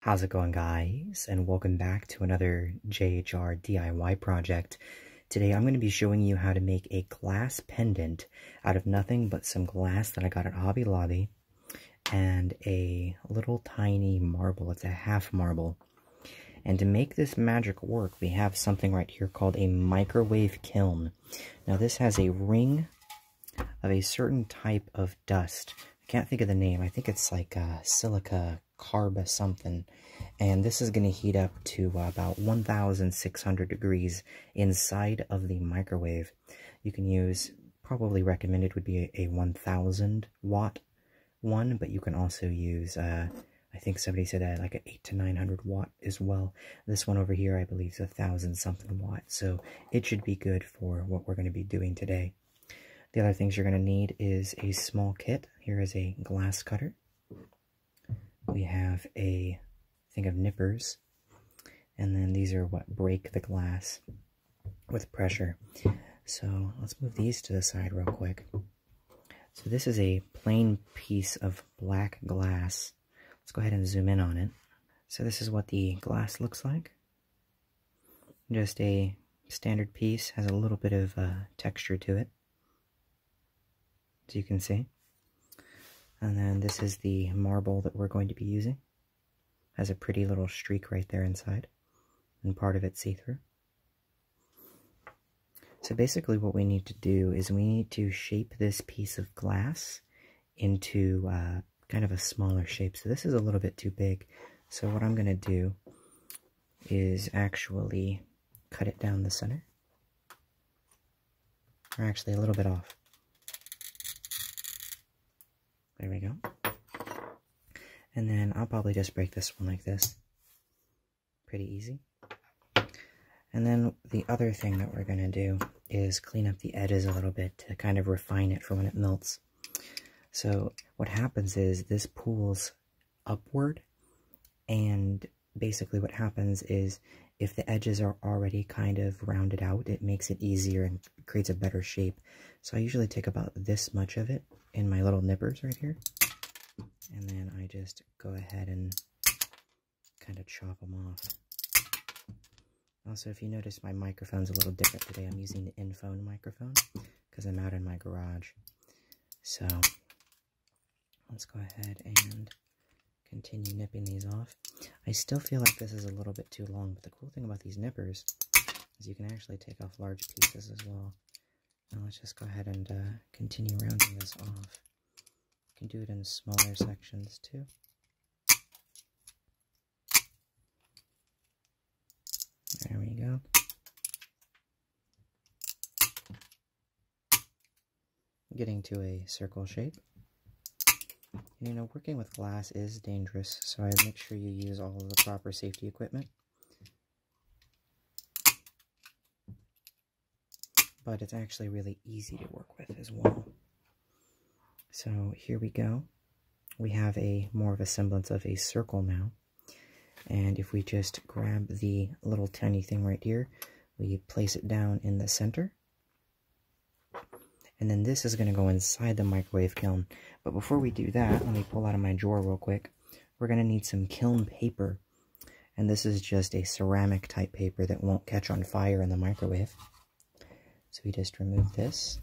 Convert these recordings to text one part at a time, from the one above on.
How's it going guys, and welcome back to another JHR DIY project. Today I'm going to be showing you how to make a glass pendant out of nothing but some glass that I got at Hobby Lobby and a little tiny marble. It's a half marble. And to make this magic work, we have something right here called a microwave kiln. Now this has a ring of a certain type of dust. I can't think of the name. I think it's like uh, silica carba something. And this is going to heat up to uh, about 1,600 degrees inside of the microwave. You can use, probably recommended would be a, 1,000 watt one, but you can also use, uh, I think somebody said like an 8 to 900 watt as well. This one over here, I believe, is a thousand something watts, so it should be good for what we're going to be doing today. The other things you're going to need is a small kit. Here is a glass cutter. We have a thing of nippers. And then these are what break the glass with pressure. So let's move these to the side real quick. So this is a plain piece of black glass Let's go ahead and zoom in on it. So this is what the glass looks like. Just a standard piece, has a little bit of uh, texture to it, as you can see. And then this is the marble that we're going to be using. Has a pretty little streak right there inside, and part of it see-through. So basically what we need to do is we need to shape this piece of glass into uh, kind of a smaller shape. So this is a little bit too big. So what I'm going to do is actually cut it down the center. Or actually a little bit off. There we go. And then I'll probably just break this one like this. Pretty easy. And then the other thing that we're going to do is clean up the edges a little bit to kind of refine it for when it melts. So what happens is this pools upward and basically what happens is if the edges are already kind of rounded out, it makes it easier and creates a better shape. So I usually take about this much of it in my little nippers right here. And then I just go ahead and kind of chop them off. Also, if you notice, my microphone's a little different today. I'm using the Infone microphone because I'm out in my garage. So, let's go ahead and continue nipping these off. I still feel like this is a little bit too long, but the cool thing about these nippers is you can actually take off large pieces as well. let's just go ahead and uh, continue rounding this off. You can do it in smaller sections too. There we go. Getting to a circle shape. you know, working with glass is dangerous, so I make sure you use all the proper safety equipment. But it's actually really easy to work with as well. So here we go. We have a more of a semblance of a circle now. And if we just grab the little tiny thing right here, we place it down in the center. And then this is going to go inside the microwave kiln. But before we do that, let me pull out of my drawer real quick. We're going to need some kiln paper. And this is just a ceramic type paper that won't catch on fire in the microwave. So we just remove this,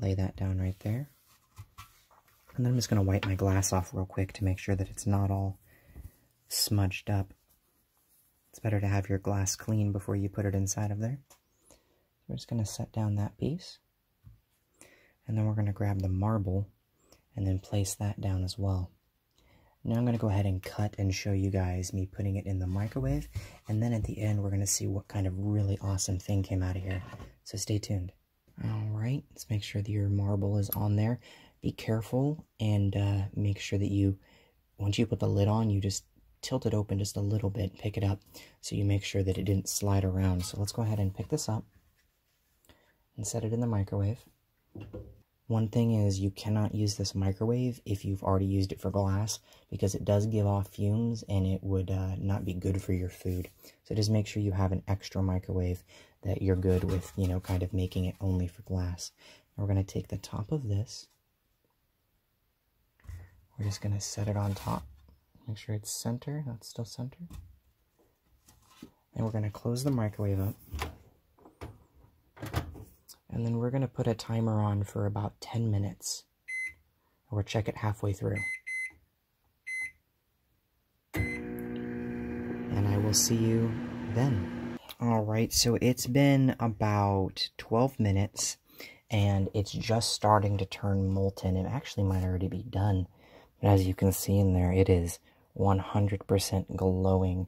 lay that down right there. And then I'm just going to wipe my glass off real quick to make sure that it's not all smudged up. It's better to have your glass clean before you put it inside of there. we're just going to set down that piece. And then we're going to grab the marble and then place that down as well. Now I'm going to go ahead and cut and show you guys me putting it in the microwave. And then at the end, we're going to see what kind of really awesome thing came out of here. So stay tuned. All right, let's make sure that your marble is on there. Be careful and uh, make sure that you, once you put the lid on, you just tilt it open just a little bit, pick it up, so you make sure that it didn't slide around. So let's go ahead and pick this up and set it in the microwave. One thing is you cannot use this microwave if you've already used it for glass because it does give off fumes and it would uh, not be good for your food. So just make sure you have an extra microwave that you're good with, you know, kind of making it only for glass. we're going to take the top of this. We're just going to set it on top. Make sure it's center, that's still center. And we're going to close the microwave up. And then we're going to put a timer on for about 10 minutes. Or we'll check it halfway through. And I will see you then. Alright, so it's been about 12 minutes. And it's just starting to turn molten. It actually might already be done. But as you can see in there, it is 100% glowing.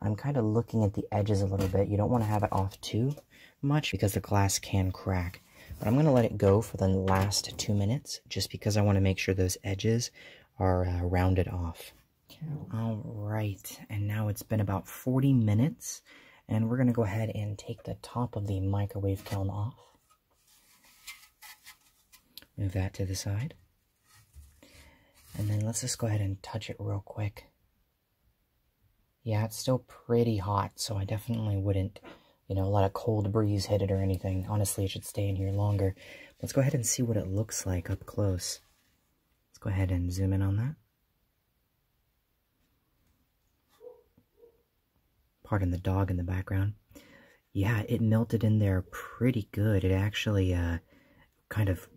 I'm kind of looking at the edges a little bit. You don't want to have it off too much because the glass can crack. But I'm going to let it go for the last two minutes just because I want to make sure those edges are uh, rounded off. All right, and now it's been about 40 minutes, and we're going to go ahead and take the top of the microwave kiln off. Move that to the side. And then let's just go ahead and touch it real quick yeah, it's still pretty hot, so I definitely wouldn't, you know, let a cold breeze hit it or anything. Honestly, it should stay in here longer. Let's go ahead and see what it looks like up close. Let's go ahead and zoom in on that. Pardon the dog in the background. Yeah, it melted in there pretty good. It actually uh, kind of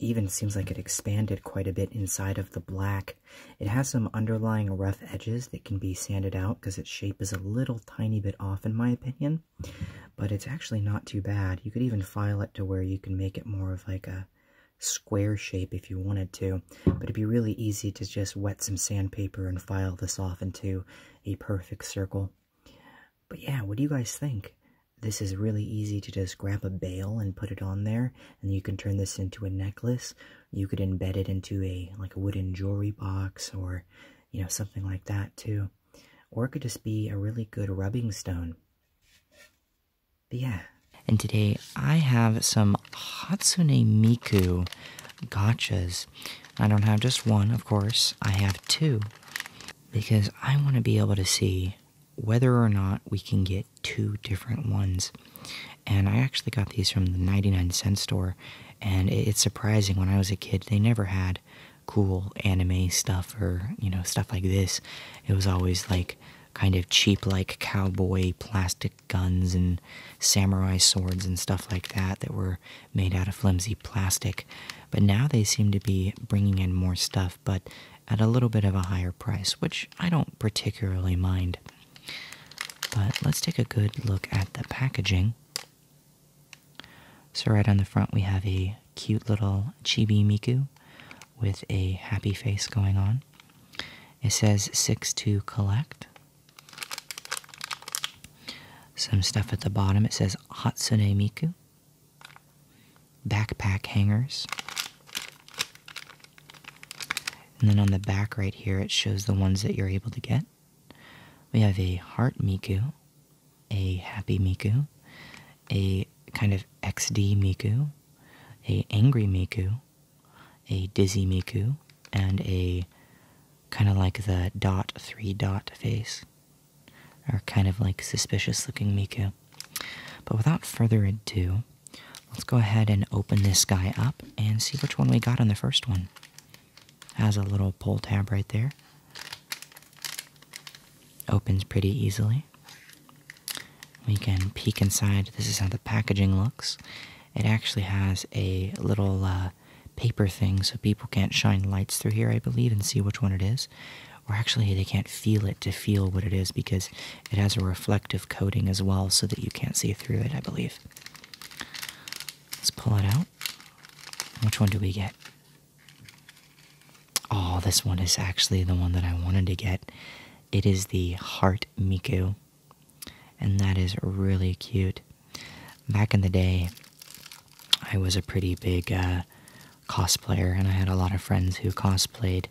even seems like it expanded quite a bit inside of the black. It has some underlying rough edges that can be sanded out because its shape is a little tiny bit off in my opinion, but it's actually not too bad. You could even file it to where you can make it more of like a square shape if you wanted to, but it'd be really easy to just wet some sandpaper and file this off into a perfect circle. But yeah, what do you guys think? This is really easy to just grab a bale and put it on there, and you can turn this into a necklace. You could embed it into a like a wooden jewelry box or you know something like that too. Or it could just be a really good rubbing stone. But yeah. And today I have some Hatsune Miku gotchas. I don't have just one, of course. I have two because I want to be able to see whether or not we can get two different ones. And I actually got these from the 99 cent store, and it's surprising when I was a kid, they never had cool anime stuff or, you know, stuff like this. It was always like kind of cheap, like cowboy plastic guns and samurai swords and stuff like that that were made out of flimsy plastic. But now they seem to be bringing in more stuff but at a little bit of a higher price, which I don't particularly mind. But let's take a good look at the packaging. So, right on the front, we have a cute little chibi Miku with a happy face going on. It says six to collect. Some stuff at the bottom, it says Hatsune Miku backpack hangers. And then on the back right here, it shows the ones that you're able to get. We have a heart Miku, a happy Miku, a kind of XD Miku, a angry Miku, a dizzy Miku, and a kind of like the dot three dot face, or kind of like suspicious looking Miku. But without further ado, let's go ahead and open this guy up and see which one we got on the first one. Has a little pull tab right there. Opens pretty easily. We can peek inside. This is how the packaging looks. It actually has a little uh, paper thing so people can't shine lights through here, I believe, and see which one it is or actually they can't feel it to feel what it is because it has a reflective coating as well so that you can't see through it, I believe. Let's pull it out. Which one do we get? Oh, this one is actually the one that I wanted to get. It is the Heart Miku, and that is really cute. Back in the day, I was a pretty big uh, cosplayer, and I had a lot of friends who cosplayed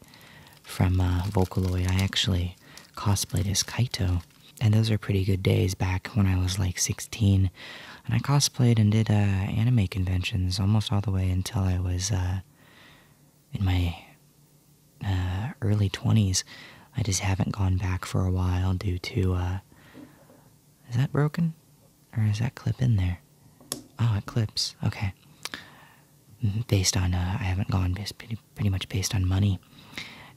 from uh, Vocaloid. I actually cosplayed as Kaito, and those are pretty good days back when I was like 16. And I cosplayed and did uh, anime conventions almost all the way until I was uh, in my early 20s. I just haven't gone back for a while due to. is that broken? Or is that clip in there? Oh, it clips. Okay. Mm-hmm. based on uh, I haven't gone pretty, much based on money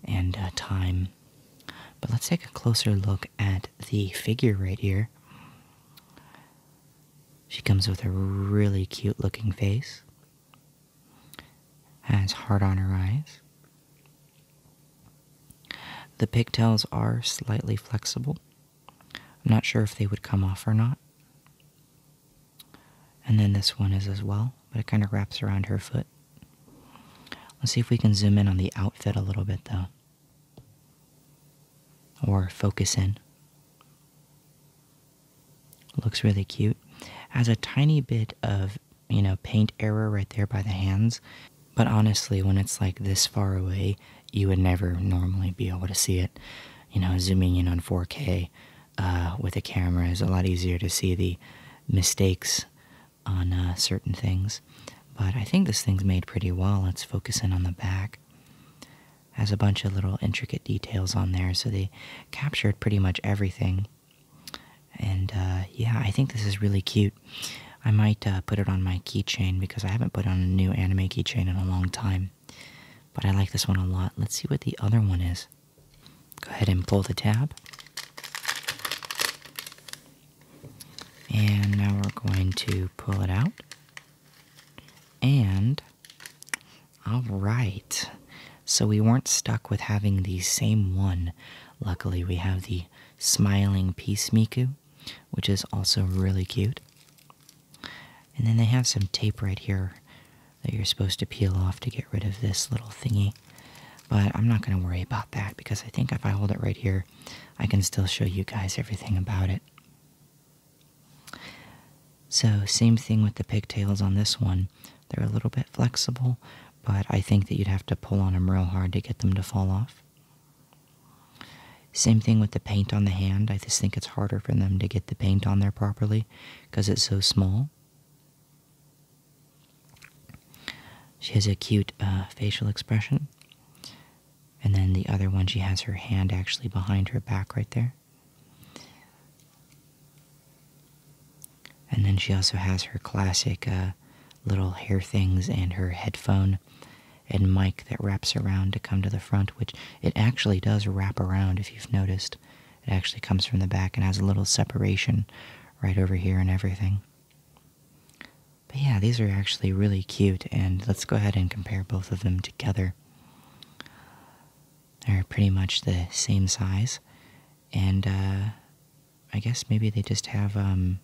and uh, time. But let's take a closer look at the figure right here. She comes with a really cute looking face, has heart on her eyes. The pigtails are slightly flexible. I'm not sure if they would come off or not. And then this one is as well, but it kind of wraps around her foot. Let's see if we can zoom in on the outfit a little bit though. Or focus in. Looks really cute. Has a tiny bit of, you know, paint error right there by the hands. But honestly, when it's like this far away, you would never normally be able to see it you know, zooming in on 4K uh, with a camera is a lot easier to see the mistakes on uh, certain things. But I think this thing's made pretty well. Let's focus in on the back. Has a bunch of little intricate details on there, so they captured pretty much everything. And uh, yeah, I think this is really cute. I might put it on my keychain because I haven't put on a new anime keychain in a long time but I like this one a lot. Let's see what the other one is. Go ahead and pull the tab. And now we're going to pull it out. And, all right. So we weren't stuck with having the same one. Luckily, we have the smiling peace Miku, which is also really cute. And then they have some tape right here that you're supposed to peel off to get rid of this little thingy. But I'm not going to worry about that because I think if I hold it right here, I can still show you guys everything about it. So, same thing with the pigtails on this one. They're a little bit flexible, but I think that you'd have to pull on them real hard to get them to fall off. Same thing with the paint on the hand. I just think it's harder for them to get the paint on there properly because it's so small. She has a cute uh, facial expression. And then the other one, she has her hand actually behind her back right there. And then she also has her classic uh, little hair things and her headphone and mic that wraps around to come to the front, which it actually does wrap around if you've noticed. It actually comes from the back and has a little separation right over here and everything. But yeah, these are actually really cute, and let's go ahead and compare both of them together. They're pretty much the same size, and uh, I guess maybe they just have. Um,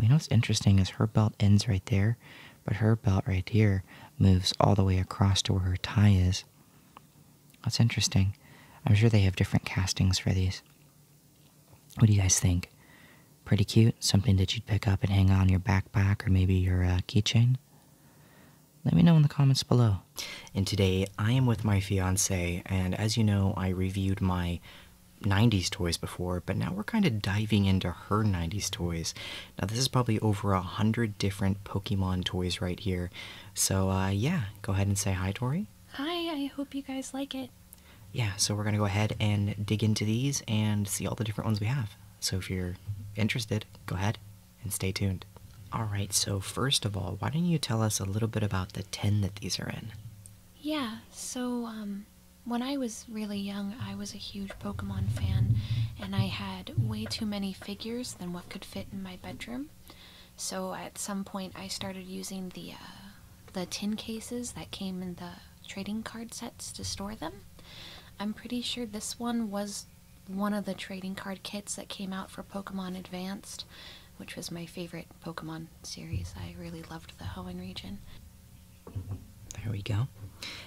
you know what's interesting is her belt ends right there, but her belt right here moves all the way across to where her tie is. That's interesting. I'm sure they have different castings for these. What do you guys think? Pretty cute, something that you'd pick up and hang on your backpack or maybe your uh, keychain? Let me know in the comments below. And today I am with my fiance, and as you know, I reviewed my 90s toys before, but now we're kind of diving into her 90s toys. Now, this is probably over a hundred different Pokemon toys right here. So, uh, yeah, go ahead and say hi, Tori. Hi, I hope you guys like it. Yeah, so we're going to go ahead and dig into these and see all the different ones we have. So, if you're interested, go ahead and stay tuned. All right, so first of all, why don't you tell us a little bit about the tin that these are in? Yeah, so um, when I was really young, I was a huge Pokemon fan, and I had way too many figures than what could fit in my bedroom. So at some point, I started using the uh, the tin cases that came in the trading card sets to store them. I'm pretty sure this one was one of the trading card kits that came out for Pokemon Advanced, which was my favorite Pokemon series. I really loved the Hoenn region. There we go.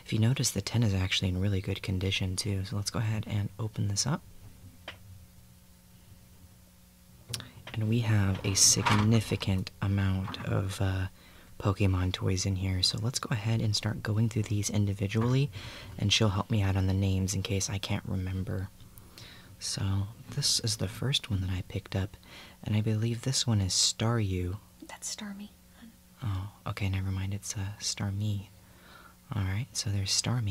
If you notice, the tin is actually in really good condition too. So let's go ahead and open this up. And we have a significant amount of uh, Pokemon toys in here. So let's go ahead and start going through these individually. And she'll help me out on the names in case I can't remember. So this is the first one that I picked up. And I believe this one is Staru. That's Starmie. Oh, okay, never mind. It's a uh, Star Alright, so there's Star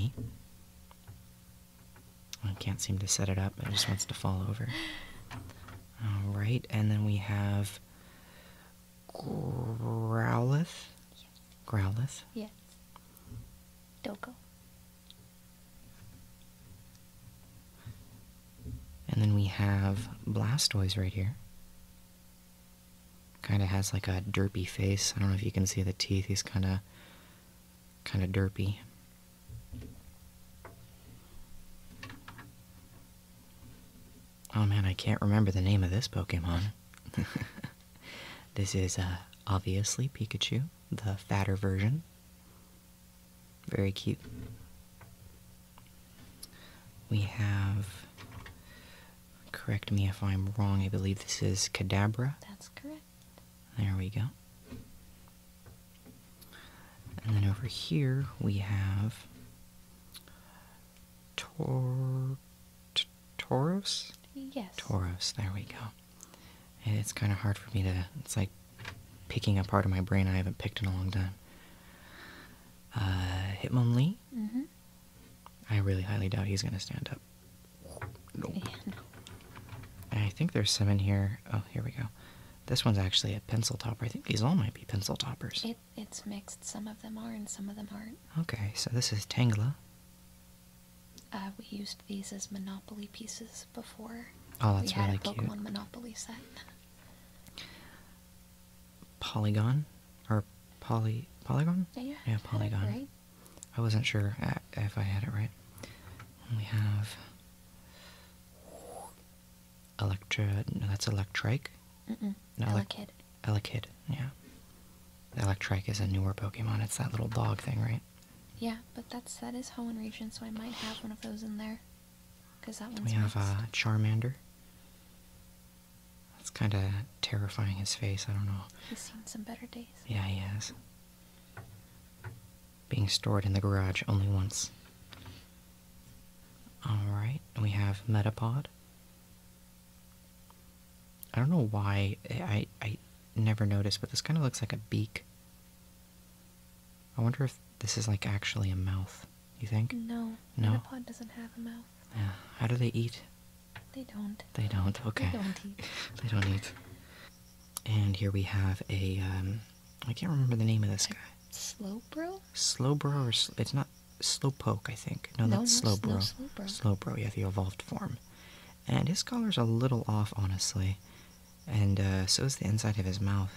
I can't seem to set it up, it just wants to fall over. Alright, and then we have Growlithe. Yes. Growlithe? Yes. Doco. And then we have Blastoise right here. Kind of has like a derpy face. I don't know if you can see the teeth. He's kind of kind of derpy. Oh man, I can't remember the name of this Pokemon. this is uh, obviously Pikachu, the fatter version. Very cute. We have Correct me if I'm wrong. I believe this is Cadabra. That's correct. There we go. And then over here we have Tor Tauros? Yes. Tauros, there we go. it's kind of hard for me to, it's like picking a part of my brain I haven't picked in a long time. Uh, Hitmonlee? Mm-hmm. I really highly doubt he's gonna stand up. No. I think there's some in here. Oh, here we go. This one's actually a pencil topper. I think these all might be pencil toppers. It, it's mixed. Some of them are and some of them aren't. Okay, so this is Tangla. Uh, we used these as Monopoly pieces before. Oh, that's we had a Pokemon Monopoly set. Polygon. Or polygon? Yeah, polygon. Right. I wasn't sure uh, if I had it right. we have Electra. No, that's Electrike. Mm-mm. No, Elekid. Elekid, yeah. Electrike is a newer Pokemon. It's that little dog thing, right? Yeah, but that's that is in region, so I might have one of those in there. Cause that one's we have uh, Charmander. That's kind of terrifying, his face. I don't know. He's seen some better days. Yeah, he has. Being stored in the garage only once. Alright, we have Metapod. I don't know why I, I never noticed, but this kind of looks like a beak. I wonder if this is like actually a mouth. You think? No. No. Metapod doesn't have a mouth. Yeah. How do they eat? They don't. They don't. Okay. They don't eat. they don't eat. And here we have a. Um, can't remember the name of this guy. Slow bro. Slow bro, or it's not slow poke. I think. No, no that's no, Slowbro. No, Slowbro. Yeah, the evolved form. And his color's a little off, honestly. And uh, so is the inside of his mouth.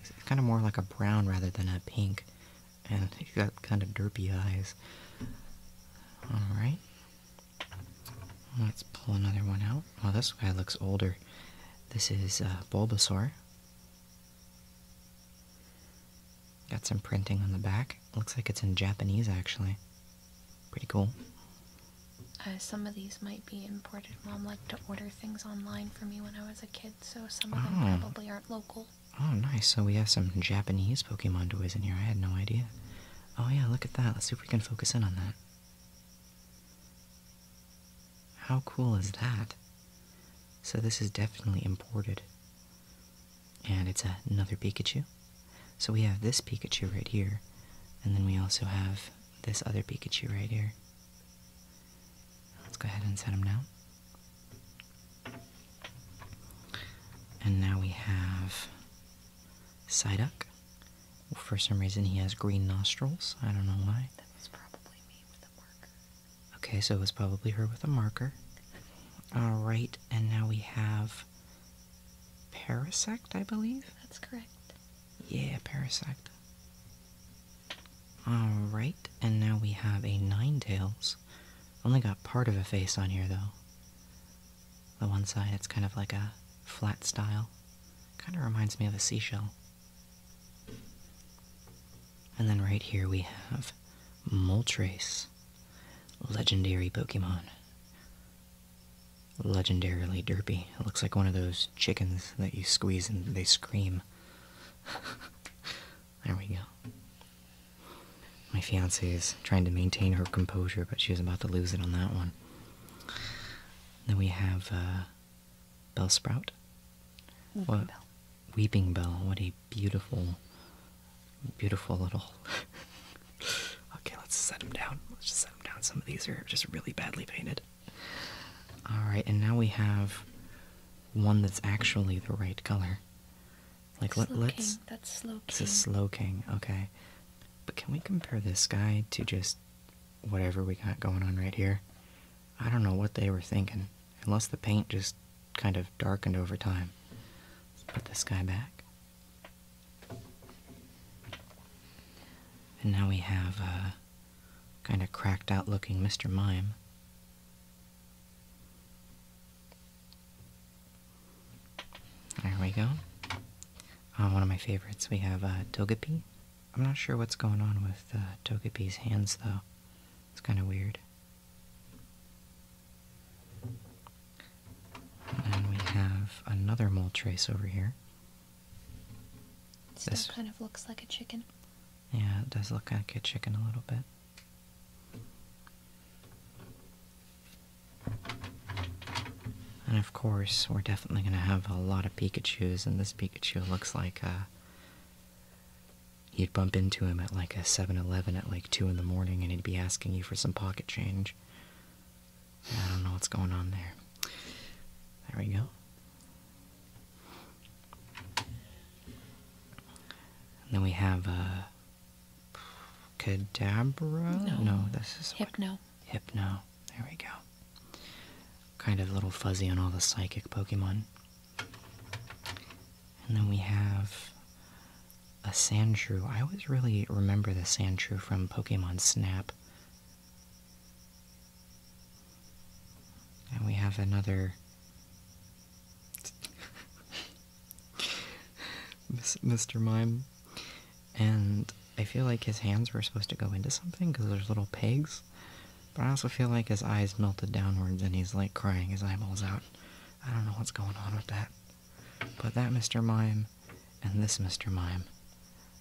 It's kind of more like a brown rather than a pink and he's got kind of derpy eyes. Alright. Let's pull another one out. Well, this guy looks older. This is uh, Bulbasaur. Got some printing on the back. Looks like it's in Japanese, actually. Pretty cool. Uh, some of these might be imported. Mom liked to order things online for me when I was a kid, so some of them ah. probably aren't local. Oh, nice. So we have some Japanese Pokemon toys in here. I had no idea. Oh, yeah, look at that. Let's see if we can focus in on that. How cool is that? So this is definitely imported. And it's another Pikachu. So we have this Pikachu right here. And then we also have this other Pikachu right here. Let's go ahead and set him down. And now we have Psyduck. For some reason, he has green nostrils. I don't know why. That was probably me with a marker. Okay, so it was probably her with a marker. All right, and now we have Parasect, I believe. That's correct. Yeah, Parasect. All right, and now we have a Nine Tails. Only got part of a face on here though. The one side, it's kind of like a flat style. Kind of reminds me of a seashell. And then right here we have Moltres, legendary Pokemon. Legendarily derpy. It looks like one of those chickens that you squeeze and they scream. There we go. My fiance is trying to maintain her composure, but she was about to lose it on that one. Then we have uh, Bell Sprout. Weeping Bell. What a beautiful, beautiful little. okay, let's set them down. Let's just set him down. Some of these are just really badly painted. Alright, and now we have one that's actually the right color. Like let, us That's slow. King. Okay, but can we compare this guy to just whatever we got going on right here? I don't know what they were thinking, unless the paint just kind of darkened over time. Let's put this guy back. And now we have a kind of cracked out looking Mr. Mime. There we go. Uh, one of my favorites, we have uh, Togepi. I'm not sure what's going on with uh, Togepi's hands, though. It's kind of weird. And we have another Moltres over here. Still this kind of looks like a chicken. Yeah, it does look like a chicken a little bit. And of course, we're definitely going to have a lot of Pikachus, and this Pikachu looks like uh, you'd bump into him at like a 7 Eleven at like 2 in the morning, and he'd be asking you for some pocket change. I don't know what's going on there. There we go. And then we have uh, Cadabra? No. this is Hypno. Hypno. There we go. Kind of a little fuzzy on all the psychic Pokemon. And then we have a Sandshrew. I always really remember the Sandshrew from Pokemon Snap. And we have another Mr. Mime. And I feel like his hands were supposed to go into something because there's little pegs. But I also feel like his eyes melted downwards and he's like crying his eyeballs out. I don't know what's going on with that. But that Mr. Mime and this Mr. Mime,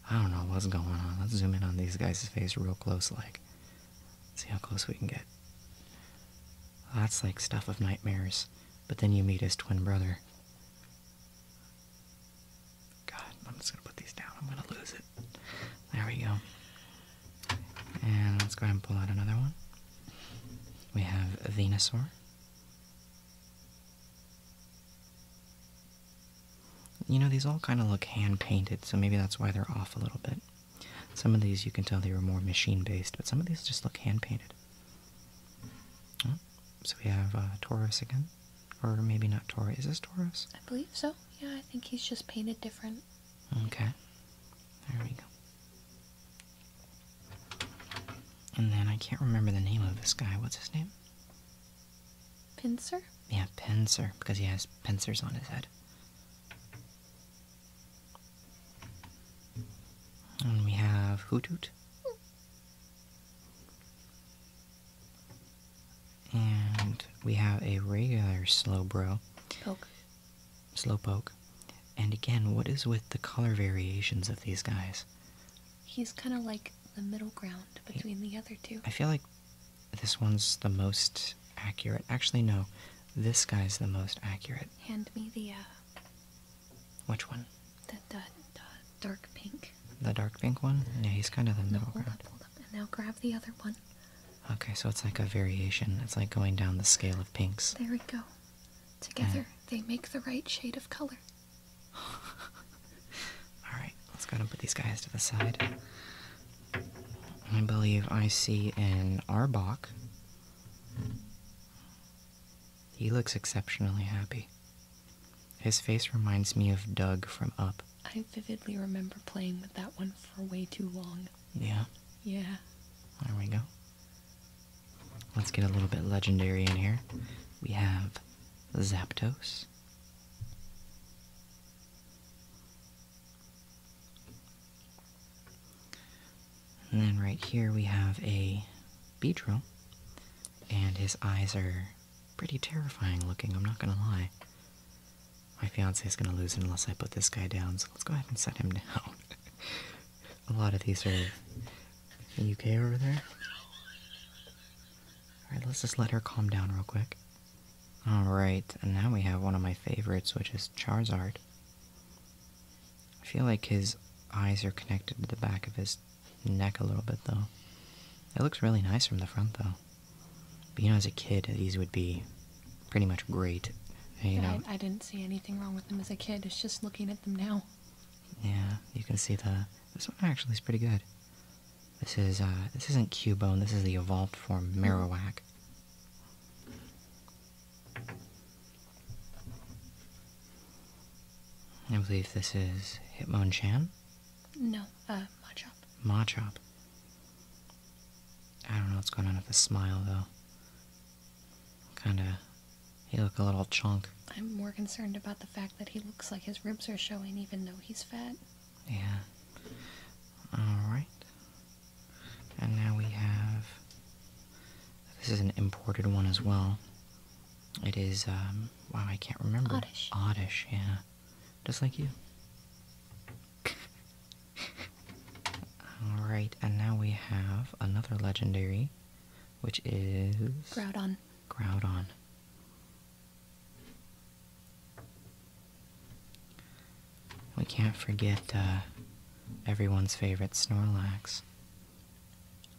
I don't know what's going on. Let's zoom in on these guys' face real close, like. See how close we can get. That's like stuff of nightmares but then you meet his twin brother. God, I'm just gonna put these down. I'm gonna lose it. There we go. And let's go ahead and pull out another one. We have Venusaur. You know, these all kind of look hand-painted, so maybe that's why they're off a little bit. Some of these you can tell they were more machine-based, but some of these just look hand-painted so we have uh, Taurus again. Or maybe not Taurus. Is this Taurus? I believe so. Yeah, I think he's just painted different. Okay. There we go. And then I can't remember the name of this guy. What's his name? Pincer? Yeah, pincer, because he has pincers on his head. And we have Hootoot. And we have a regular slow Slowbro. Poke. Slowpoke. And again, what is with the color variations of these guys? He's kind of like the middle ground between the other two. I feel like this one's the most accurate. Actually, no. This guy's the most accurate. Hand me the uh, which one? The, dark pink. The dark pink one? Yeah, he's kind of the middle no, hold ground. Up, hold up. And now grab the other one. Okay, so it's like a variation. It's like going down the scale of pinks. There we go. Together, they make the right shade of color. Alright, let's go and put these guys to the side. I believe I see an Arbok. He looks exceptionally happy. His face reminds me of Doug from Up. I vividly remember playing with that one for way too long. Yeah. Yeah. There we go. Let's get a little bit legendary in here. We have Zapdos. And then right here we have a Beedrill, and his eyes are pretty terrifying looking, I'm not gonna lie. My fiance is gonna lose it unless I put this guy down, so let's go ahead and set him down. a lot of these are in the UK over there. Alright, let's just let her calm down real quick. Alright, and now we have one of my favorites, which is Charizard. I feel like his eyes are connected to the back of his neck a little bit, though. It looks really nice from the front, though. you know, as a kid, these would be pretty much great. You know, I, didn't see anything wrong with them as a kid. It's just looking at them now. Yeah, you can see the. This one actually is pretty good. This is uh, this isn't Q Bone. This is the evolved form Marowak. I believe this is Hitmonchan? No, uh, Machop. Machop. I don't know what's going on with the smile, though. Kinda. He look a little chunk. I'm more concerned about the fact that he looks like his ribs are showing even though he's fat. Yeah. Alright. And now we have this is an imported one as well. It is, um, wow, I can't remember. Oddish. yeah. Just like you. Alright, and now we have another legendary, which is. Groudon. Groudon. We can't forget uh, everyone's favorite Snorlax.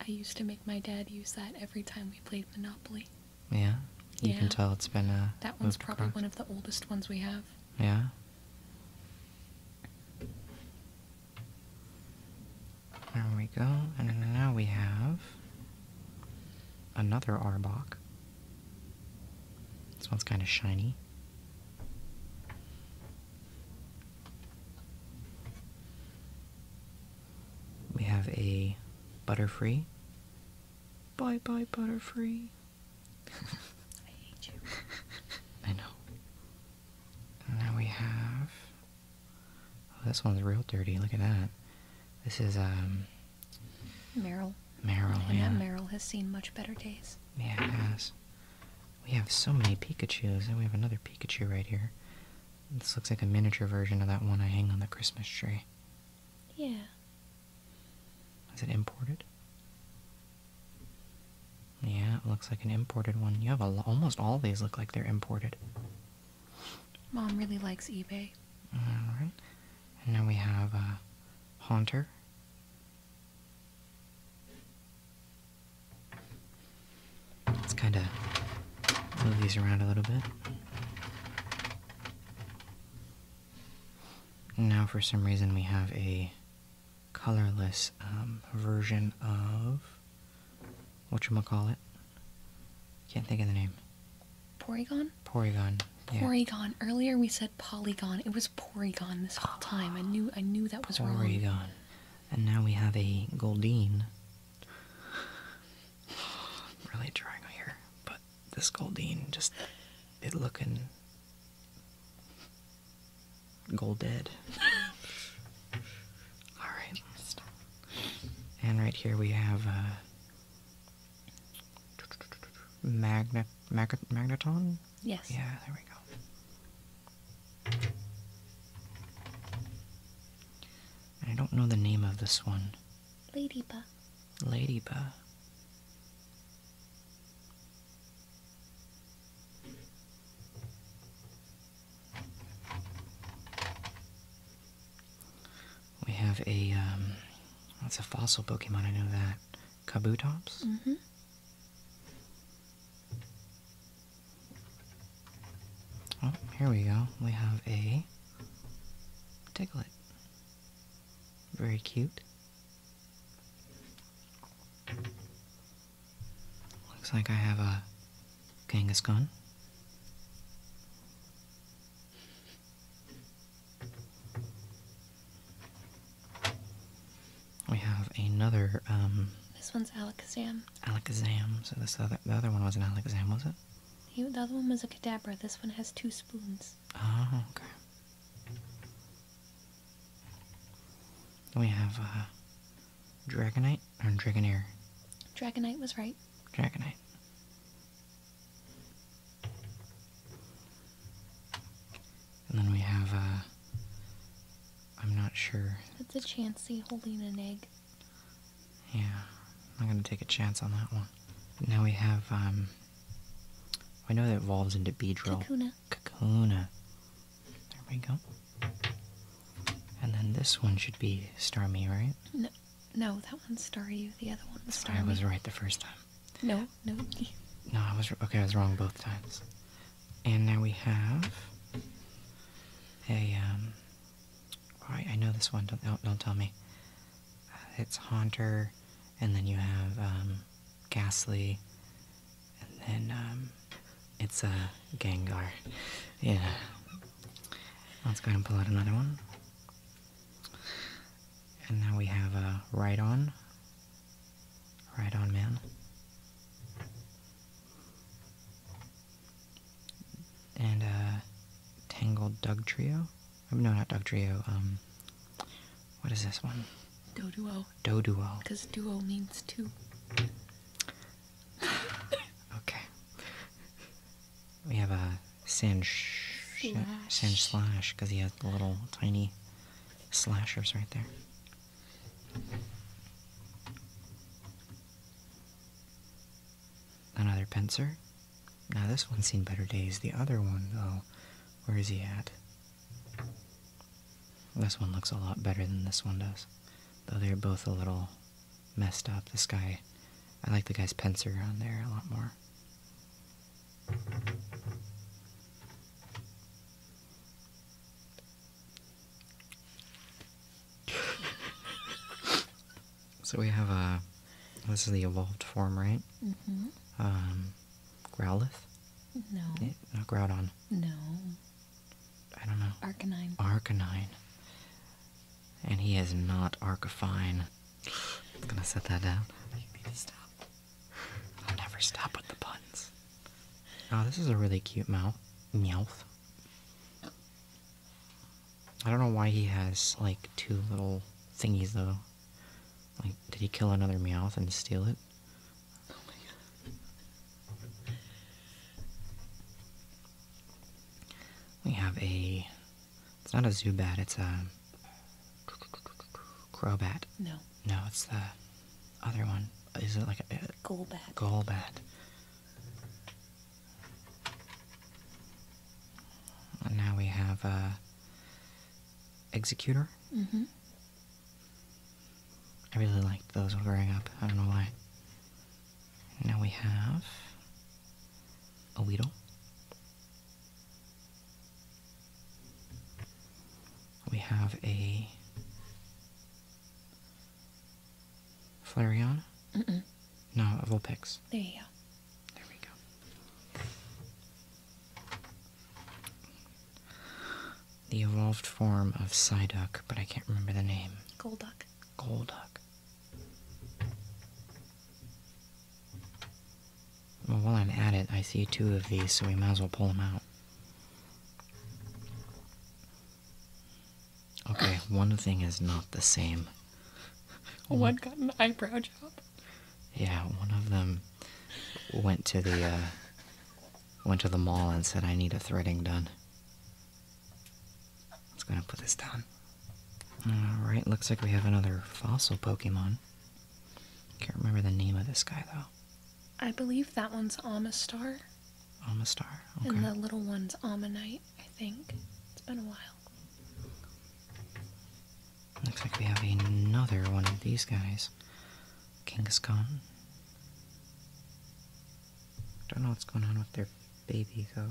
I used to make my dad use that every time we played Monopoly. Yeah? You can tell it's been a. That one's probably one of the oldest ones we have. Yeah. There we go. And now we have another Arbok. This one's kind of shiny. We have a Butterfree. Bye bye, Butterfree. I hate you. I know. And now we have. Oh, this one's real dirty. Look at that. This is, um. Meryl. Meryl, and yeah. Meryl has seen much better days. Yeah, it has. We have so many Pikachus, and we have another Pikachu right here. This looks like a miniature version of that one I hang on the Christmas tree. Yeah. Is it imported? Yeah, it looks like an imported one. You have almost all these look like they're imported. Mom really likes eBay. Alright. And now we have a uh, Haunter. Let's kind of move these around a little bit. Now, for some reason, we have a colorless um, version of what you call it. Can't think of the name. Porygon. Porygon. Porygon. Earlier we said polygon. It was Porygon this whole time. I knew. I knew that was wrong. Porygon and now we have a Goldeen. really trying here, but this Goldeen just it looking golded. All And right here we have uh, magneton. Yes. Yeah, there we go. I don't know the name of this one. Ladybug. Ladybug. We have a, um, that's a fossil Pokemon, I know that. Kabutops? Mm-hmm. Oh, here we go. We have a Diglett. Very cute. Looks like I have a genghis Kangaskhan. We have another, um, This one's Alakazam. Alakazam. So this other, the other one wasn't Alakazam, was it? the other one was a Kadabra. This one has two spoons. Oh, okay. we have uh, Dragonite or Dragonair. Dragonite was right. Dragonite. And then we have, uh, I'm not sure. It's a Chansey holding an egg. Yeah, I'm not gonna take a chance on that one. now we have, I um, know that evolves into Beedrill. Kakuna. Kakuna. There we go. And then this one should be Starmie, right? No, no, that one's Staryu. The other one's Starmie. I was right the first time. No, no. no, I was okay. I was wrong both times. And now we have a um, Alright, I know this one. Don't, don't tell me. Uh, it's Haunter, and then you have um, Ghastly, and then um, it's uh, Gengar. Yeah. Let's go ahead and pull out another one. And now we have a uh, right on. Right on, man and a uh, Tangled Doug Trio. Oh, no, not Doug Trio. Um, what is this one? Doduo. Doduo. Because duo means two. okay. We have a uh, sand sh slash. sand slash because he has the little tiny slashers right there. Another pincer. Now this one's seen better days. The other one, though, where is he at? This one looks a lot better than this one does, though they're both a little messed up. This guy, I like the guy's pincer on there a lot more. so we have a. This is the evolved form, right? Mm Um, Growlithe? No. Yeah, no, uh, Groudon. No. I don't know. Arcanine. Arcanine. And he is not Arcafine. I'm gonna set that down. I'll never stop with the puns. Oh, this is a really cute mouth. Meowth. Oh. I don't know why he has, like, two little thingies, though. Like, did he kill another Meowth and steal it? We have a... It's not a Zubat, it's a... crowbat. No. No, it's the other one. Is it like a... Golbat. Golbat now we have a uh, Executor. Mm-hmm. I really liked those growing up. I don't know why. Now we have a Weedle. We have a Flareon? Mm-mm. No, Vulpix. There you go. There we go. The evolved form of Psyduck, but I can't remember the name. Golduck. Golduck. Well, while I'm at it, I see two of these, so we might as well pull them out. Okay, one thing is not the same. One, got an eyebrow job. Yeah, one of them went to the uh, went to the mall and said, "I need a threading done." Let's gonna put this down. All right, looks like we have another fossil Pokemon. Can't remember the name of this guy though. I believe that one's Amistar. Amistar. Okay. And the little one's Ammonite, I think. It's been a while. Looks like we have another one of these guys. Genghis Khan. Don't know what's going on with their baby, though.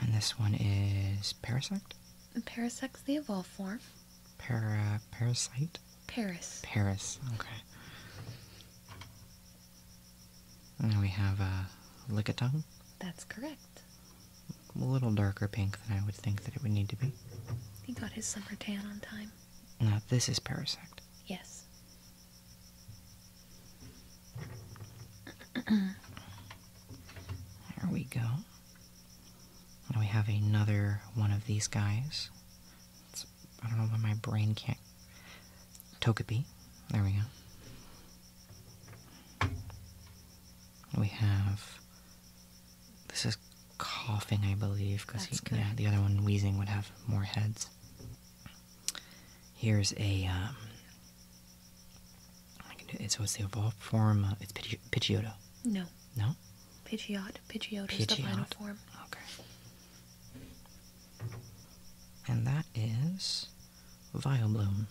And this one is Parasect? Parasect, the evolved form. Para, parasite? Paris. Paris, okay. And we have a uh, Lickitung. That's correct. A little darker pink than I would think that it would need to be. He got his summer tan on time. Now this is Parasect. Yes. there we go. And we have another one of these guys. I don't know why my brain can't. Togepi. There we go. We have. This is coughing, I believe, because yeah, the other one, wheezing, would have more heads. Here's a. Um, I So it's the evolved form. Uh, it's Pidgeotto. No. No? Pidgeot. Pidgeot, is the final form. Okay. And that is vile bloom.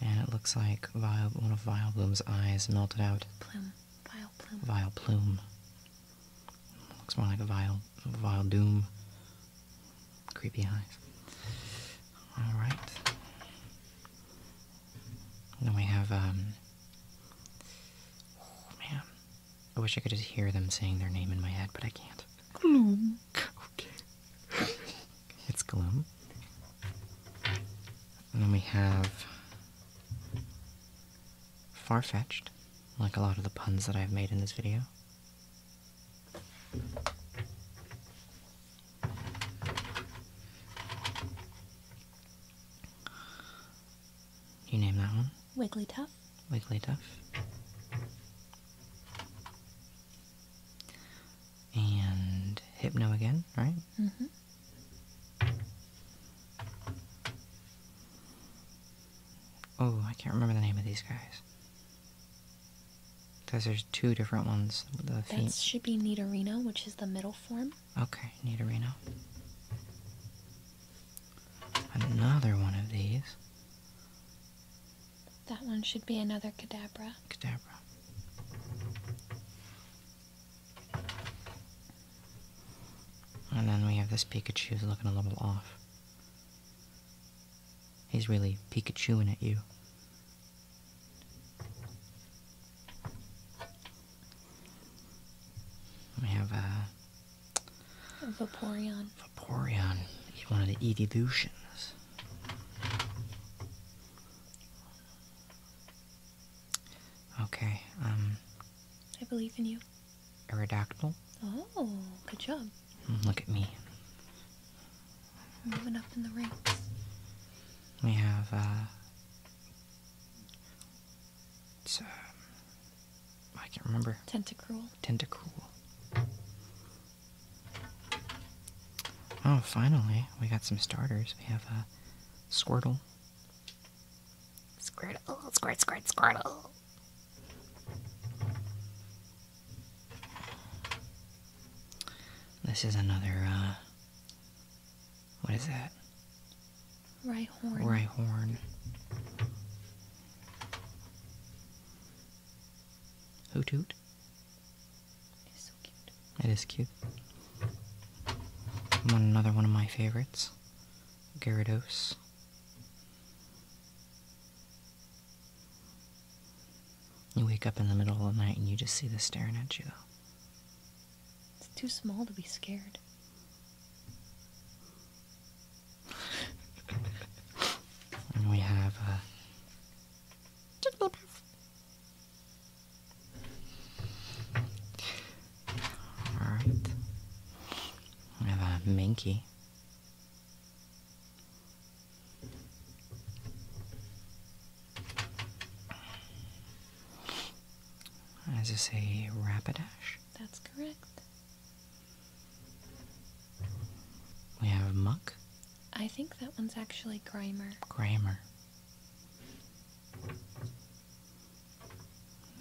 And it looks like Vile, one of vile bloom's eyes melted out. Plume. Vile plume. Vile plume. Looks more like a vile, vile doom. Creepy eyes. Alright then we have, um, oh, man, I wish I could just hear them saying their name in my head, but I can't. Gloom. Okay. it's Gloom. And then we have far-fetched, like a lot of the puns that I've made in this video. You name that one? Wiggly Wiggly Wigglytuff. And Hypno again, right? Mm-hmm. Oh, I can't remember the name of these guys. Because there's two different ones. The that should be Nidorino, which is the middle form. Okay, need a Reno. Another one of these. That one should be another Kadabra. Kadabra. And then we have this Pikachu who's looking a little off. He's really Pikachuing at you. We have a... Uh, Vaporeon. Vaporeon. one of the evolutions. Okay, um... I believe in you. Aerodactyl. Oh, good job. Hmm, look at me. Moving up in the ranks. We have, a. Uh, it's, um, I can't remember. Tentacruel. Tentacruel. Oh, finally, we got some starters. We have a uh, Squirtle. Squirtle, squirt, squirt, Squirtle. This is another uh, what is that? Right horn. Right horn. Hoot hoot. It's so cute. It is cute. One another one of my favorites. Gyarados. You wake up in the middle of the night and you just see this staring at you though. It's too small to be scared. we have uh, Alright. We have a uh, Minky. As I say, rapidash? That's correct. We have muck. I think that one's actually Grimer. Grimer.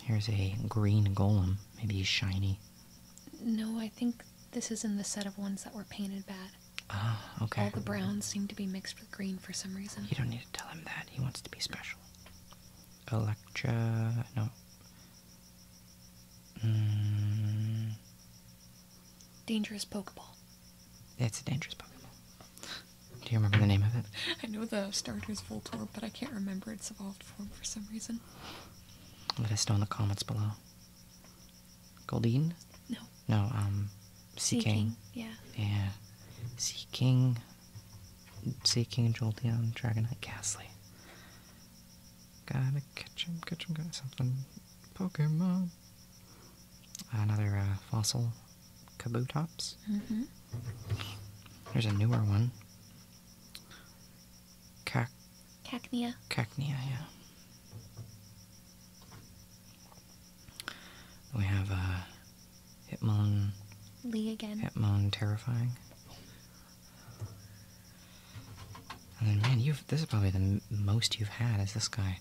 Here's a green golem. Maybe he's shiny. No, I think this is not the set of ones that were painted bad. Ah, okay. All the browns seem to be mixed with green for some reason. You don't need to tell him that. He wants to be special. Electra, no. Hmm. Dangerous Pokeball. It's a dangerous Pokeball. Do you remember the name of it? I know the starter's Voltorb, but I can't remember its evolved form for some reason. Let us know in the comments below. Goldine? No. No, um, Seeking. Yeah. Yeah. Seeking. See King Jolteon, Dragonite, Ghastly. Gotta catch him, catch him, got something. Pokemon. Another uh, fossil, Kabutops. Mm-hmm. There's a newer one. Cac Cacnea. Cacnea, yeah. We have a. Uh, Hitmon. Lee again. Hitmon terrifying. And then, man, you this is probably the most you've had is this guy.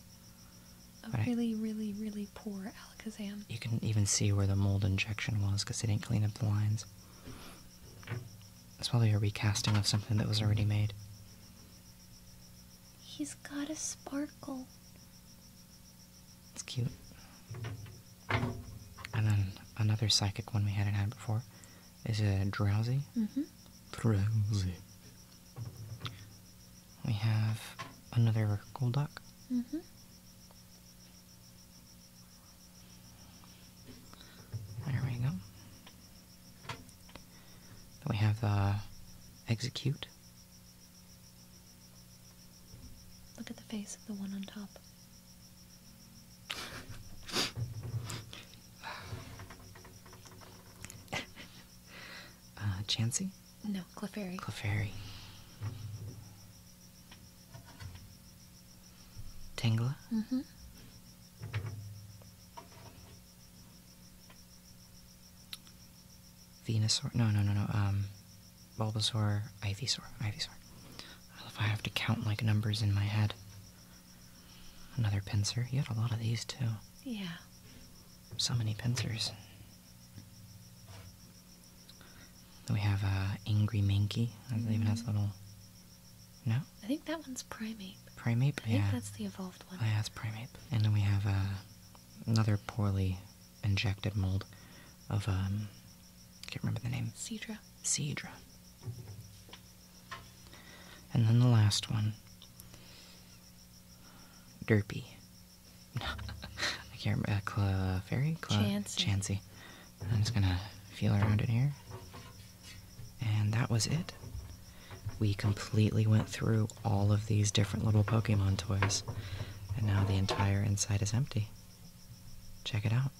A really, really, really poor Alakazam. You can even see where the mold injection was because they didn't clean up the lines. It's probably a recasting of something that was already made. He's got a sparkle. It's cute. And then another psychic one we hadn't had before is a drowsy. Mm-hmm. Drowsy. We have another Golduck. Mm mm-hmm. There we go. we have the execute. Look at the face of the one on top. uh, No, Clefairy. Clefairy. Tangla? Mm-hmm. Venusaur? No, no, no, no. Um, Bulbasaur, Ivysaur, Ivysaur. Well, if I have to count like numbers in my head. Another pincer. You had a lot of these too. Yeah. So many pincers. we have uh, Angry Mankey. That mm -hmm. has mm-hmm. little. No? I think that one's primate. Primeape? I yeah. think that's the evolved one. Oh, yeah, that's And then we have uh, another poorly injected mold of um can't remember the name. Cedra. Cedra. And then the last one. Derpy. I can't remember. Uh, Fairy? Cla Chancy. Chancy. I'm just gonna feel around in here. And that was it. We completely went through all of these different little Pokemon toys. And now the entire inside is empty check it out.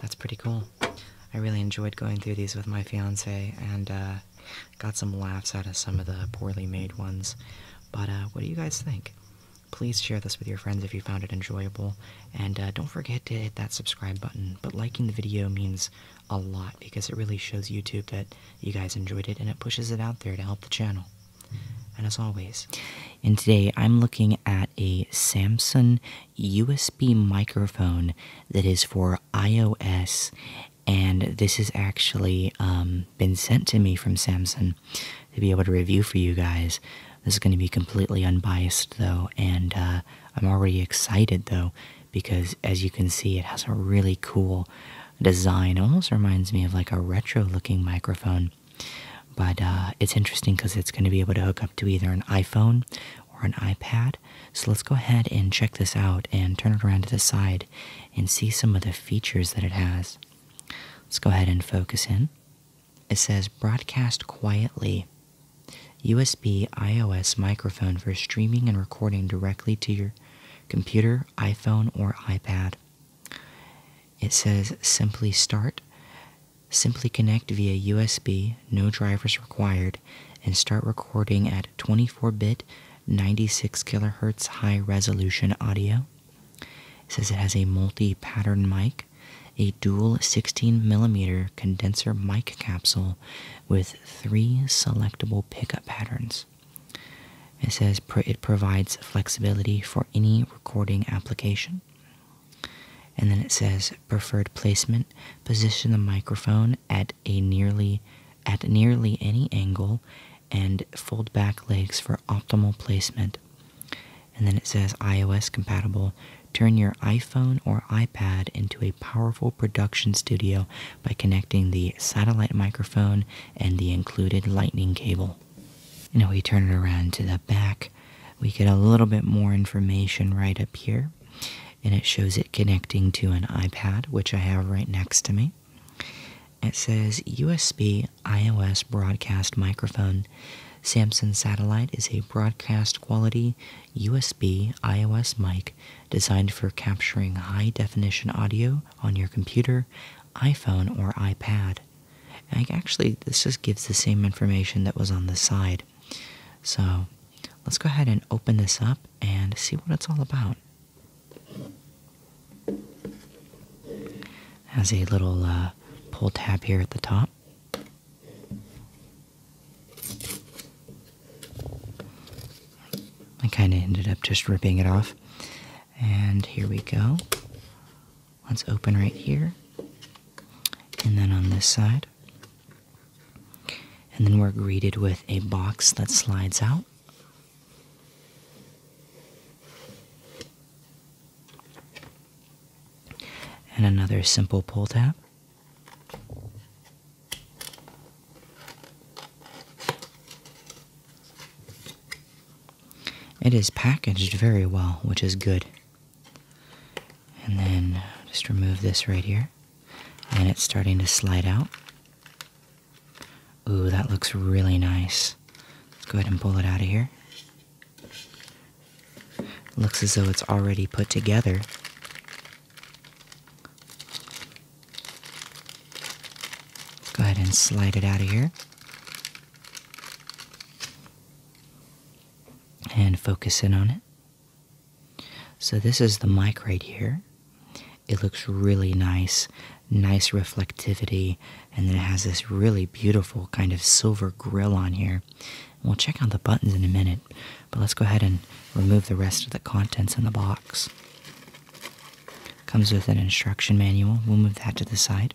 That's pretty cool. I really enjoyed going through these with my fiance and uh, got some laughs out of some of the poorly made ones. But uh, what do you guys think? Please share this with your friends if you found it enjoyable, and uh, don't forget to hit that subscribe button. But liking the video means a lot because it really shows YouTube that you guys enjoyed it and it pushes it out there to help the channel. And as always, and today I'm looking at a Samsung USB microphone that is for iOS, and this has actually um, been sent to me from Samsung to be able to review for you guys. This is going to be completely unbiased though, and uh, I'm already excited though because as you can see, it has a really cool design. almost reminds me of like a retro looking microphone. But uh, it's interesting because it's going to be able to hook up to either an iPhone or an iPad. So let's go ahead and check this out and turn it around to the side and see some of the features that it has. Let's go ahead and focus in. It says broadcast quietly. USB iOS microphone for streaming and recording directly to your computer, iPhone, or iPad. It says simply start, simply connect via USB, no drivers required, and start recording at 24 bit, 96 kilohertz high resolution audio. It says it has a multi pattern mic, a dual 16 millimeter condenser mic capsule with three selectable pickup patterns. It says it provides flexibility for any recording application. And then it says preferred placement, position the microphone at a nearly at nearly any angle and fold back legs for optimal placement. And then it says iOS compatible, turn your iPhone or iPad into a powerful production studio by connecting the satellite microphone and the included lightning cable. You know, we turn it around to the back, we get a little bit more information right up here, and it shows it connecting to an iPad, which I have right next to me. It says USB iOS broadcast microphone. Samsung Satellite is a broadcast quality USB iOS mic designed for capturing high definition audio on your computer, iPhone, or iPad. And actually, this just gives the same information that was on the side. So let's go ahead and open this up and see what it's all about. Has a little uh, pull tab here at the top. I kind of ended up just ripping it off. And here we go. Let's open right here, and then on this side. And then we're greeted with a box that slides out. And another simple pull tab. It is packaged very well, which is good. And then just remove this right here. And it's starting to slide out. Ooh, that looks really nice. Let's go ahead and pull it out of here. Looks as though it's already put together. go ahead and slide it out of here and focus in on it. So, this is the mic right here. It looks really nice, nice reflectivity, and then it has this really beautiful kind of silver grill on here. we'll check out the buttons in a minute, but let's go ahead and remove the rest of the contents in the box. Comes with an instruction manual. We'll move that to the side.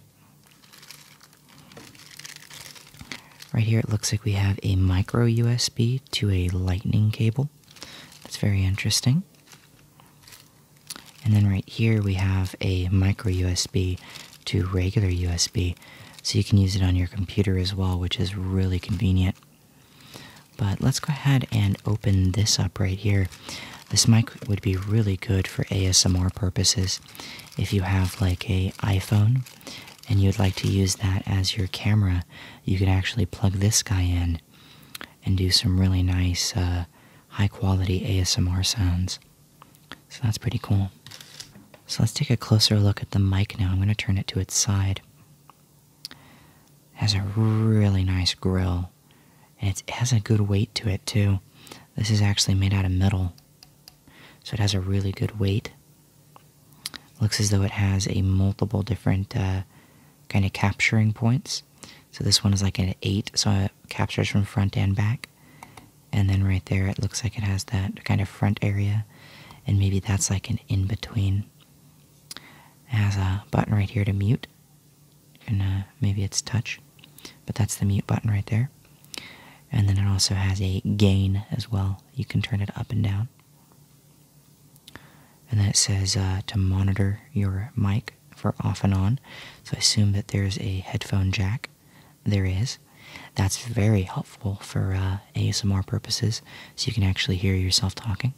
Right here, it looks like we have a micro USB to a lightning cable. That's very interesting. And then right here, we have a micro USB to regular USB. So you can use it on your computer as well, which is really convenient. But let's go ahead and open this up right here. This mic would be really good for ASMR purposes if you have like a iPhone and you'd like to use that as your camera, you could actually plug this guy in and do some really nice uh, high quality ASMR sounds. So that's pretty cool. So let's take a closer look at the mic now. I'm going to turn it to its side. It has a really nice grill and it has a good weight to it too. This is actually made out of metal. So it has a really good weight. Looks as though it has a multiple different uh, kind of capturing points. So this one is like an 8, so it captures from front and back. And then right there, it looks like it has that kind of front area. And maybe that's like an in between. It has a button right here to mute. And uh, maybe it's touch but that's the mute button right there. And then it also has a gain as well. You can turn it up and down. And then it says uh, to monitor your mic for off and on. So I assume that there's a headphone jack. There is. That's very helpful for uh, ASMR purposes, so you can actually hear yourself talking.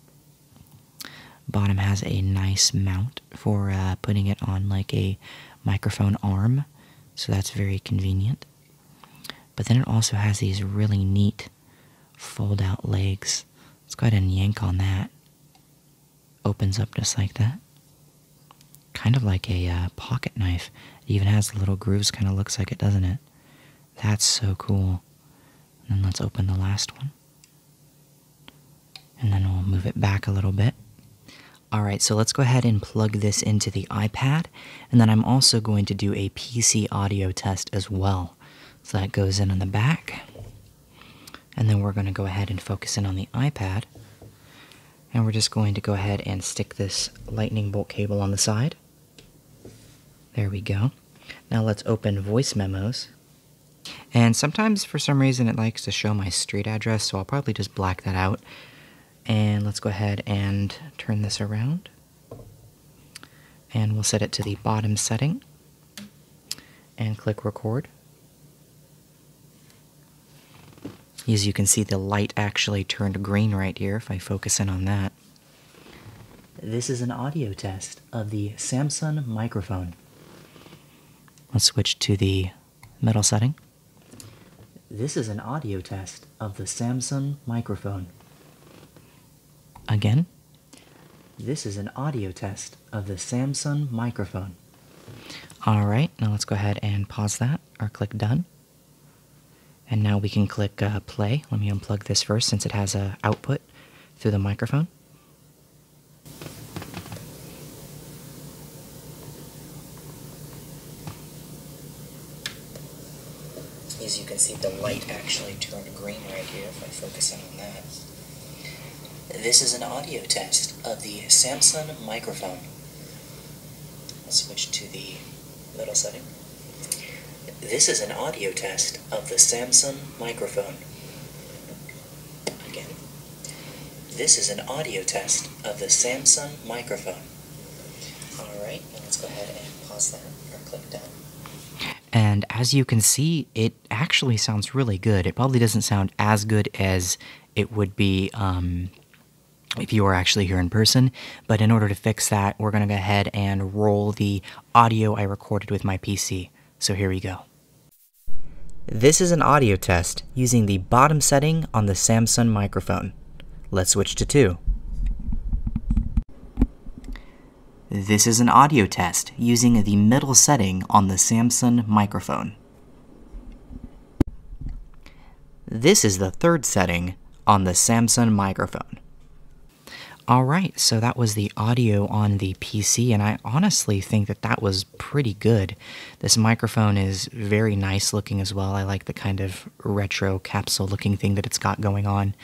Bottom has a nice mount for uh, putting it on like a microphone arm, so that's very convenient. But then it also has these really neat fold out legs. Let's go ahead and yank on that. Opens up just like that. Kind of like a uh, pocket knife. It even has little grooves, kind of looks like it, doesn't it? That's so cool. then let's open the last one. And then we'll move it back a little bit. All right, so let's go ahead and plug this into the iPad. And then I'm also going to do a PC audio test as well. So that goes in on the back. And then we're going to go ahead and focus in on the iPad. And we're just going to go ahead and stick this lightning bolt cable on the side. There we go. Now let's open voice memos. And sometimes for some reason it likes to show my street address, so I'll probably just black that out. And let's go ahead and turn this around. And we'll set it to the bottom setting. And click record. As you can see, the light actually turned green right here if I focus in on that. This is an audio test of the Samsung microphone. Let's switch to the metal setting. This is an audio test of the Samsung microphone. Again? This is an audio test of the Samsung microphone. All right, now let's go ahead and pause that or click done. And now we can click uh, play. Let me unplug this first since it has a output through the microphone. As you can see, the light actually turned green right here if I focus in on that. This is an audio test of the Samsung microphone. I'll switch to the middle setting. This is an audio test of the Samsung microphone. Again. This is an audio test of the Samsung microphone. Alright, let's go ahead and pause that or click done. And as you can see, it actually sounds really good. It probably doesn't sound as good as it would be um, if you were actually here in person. But in order to fix that, we're going to go ahead and roll the audio I recorded with my PC. So here we go. This is an audio test using the bottom setting on the Samsung microphone let Let's switch to 2. This is an audio test using the middle setting on the Samsung microphone. This is the third setting on the Samsung microphone. All right, so that was the audio on the PC, and I honestly think that that was pretty good. This microphone is very nice looking as well. I like the kind of retro capsule looking thing that it's got going on.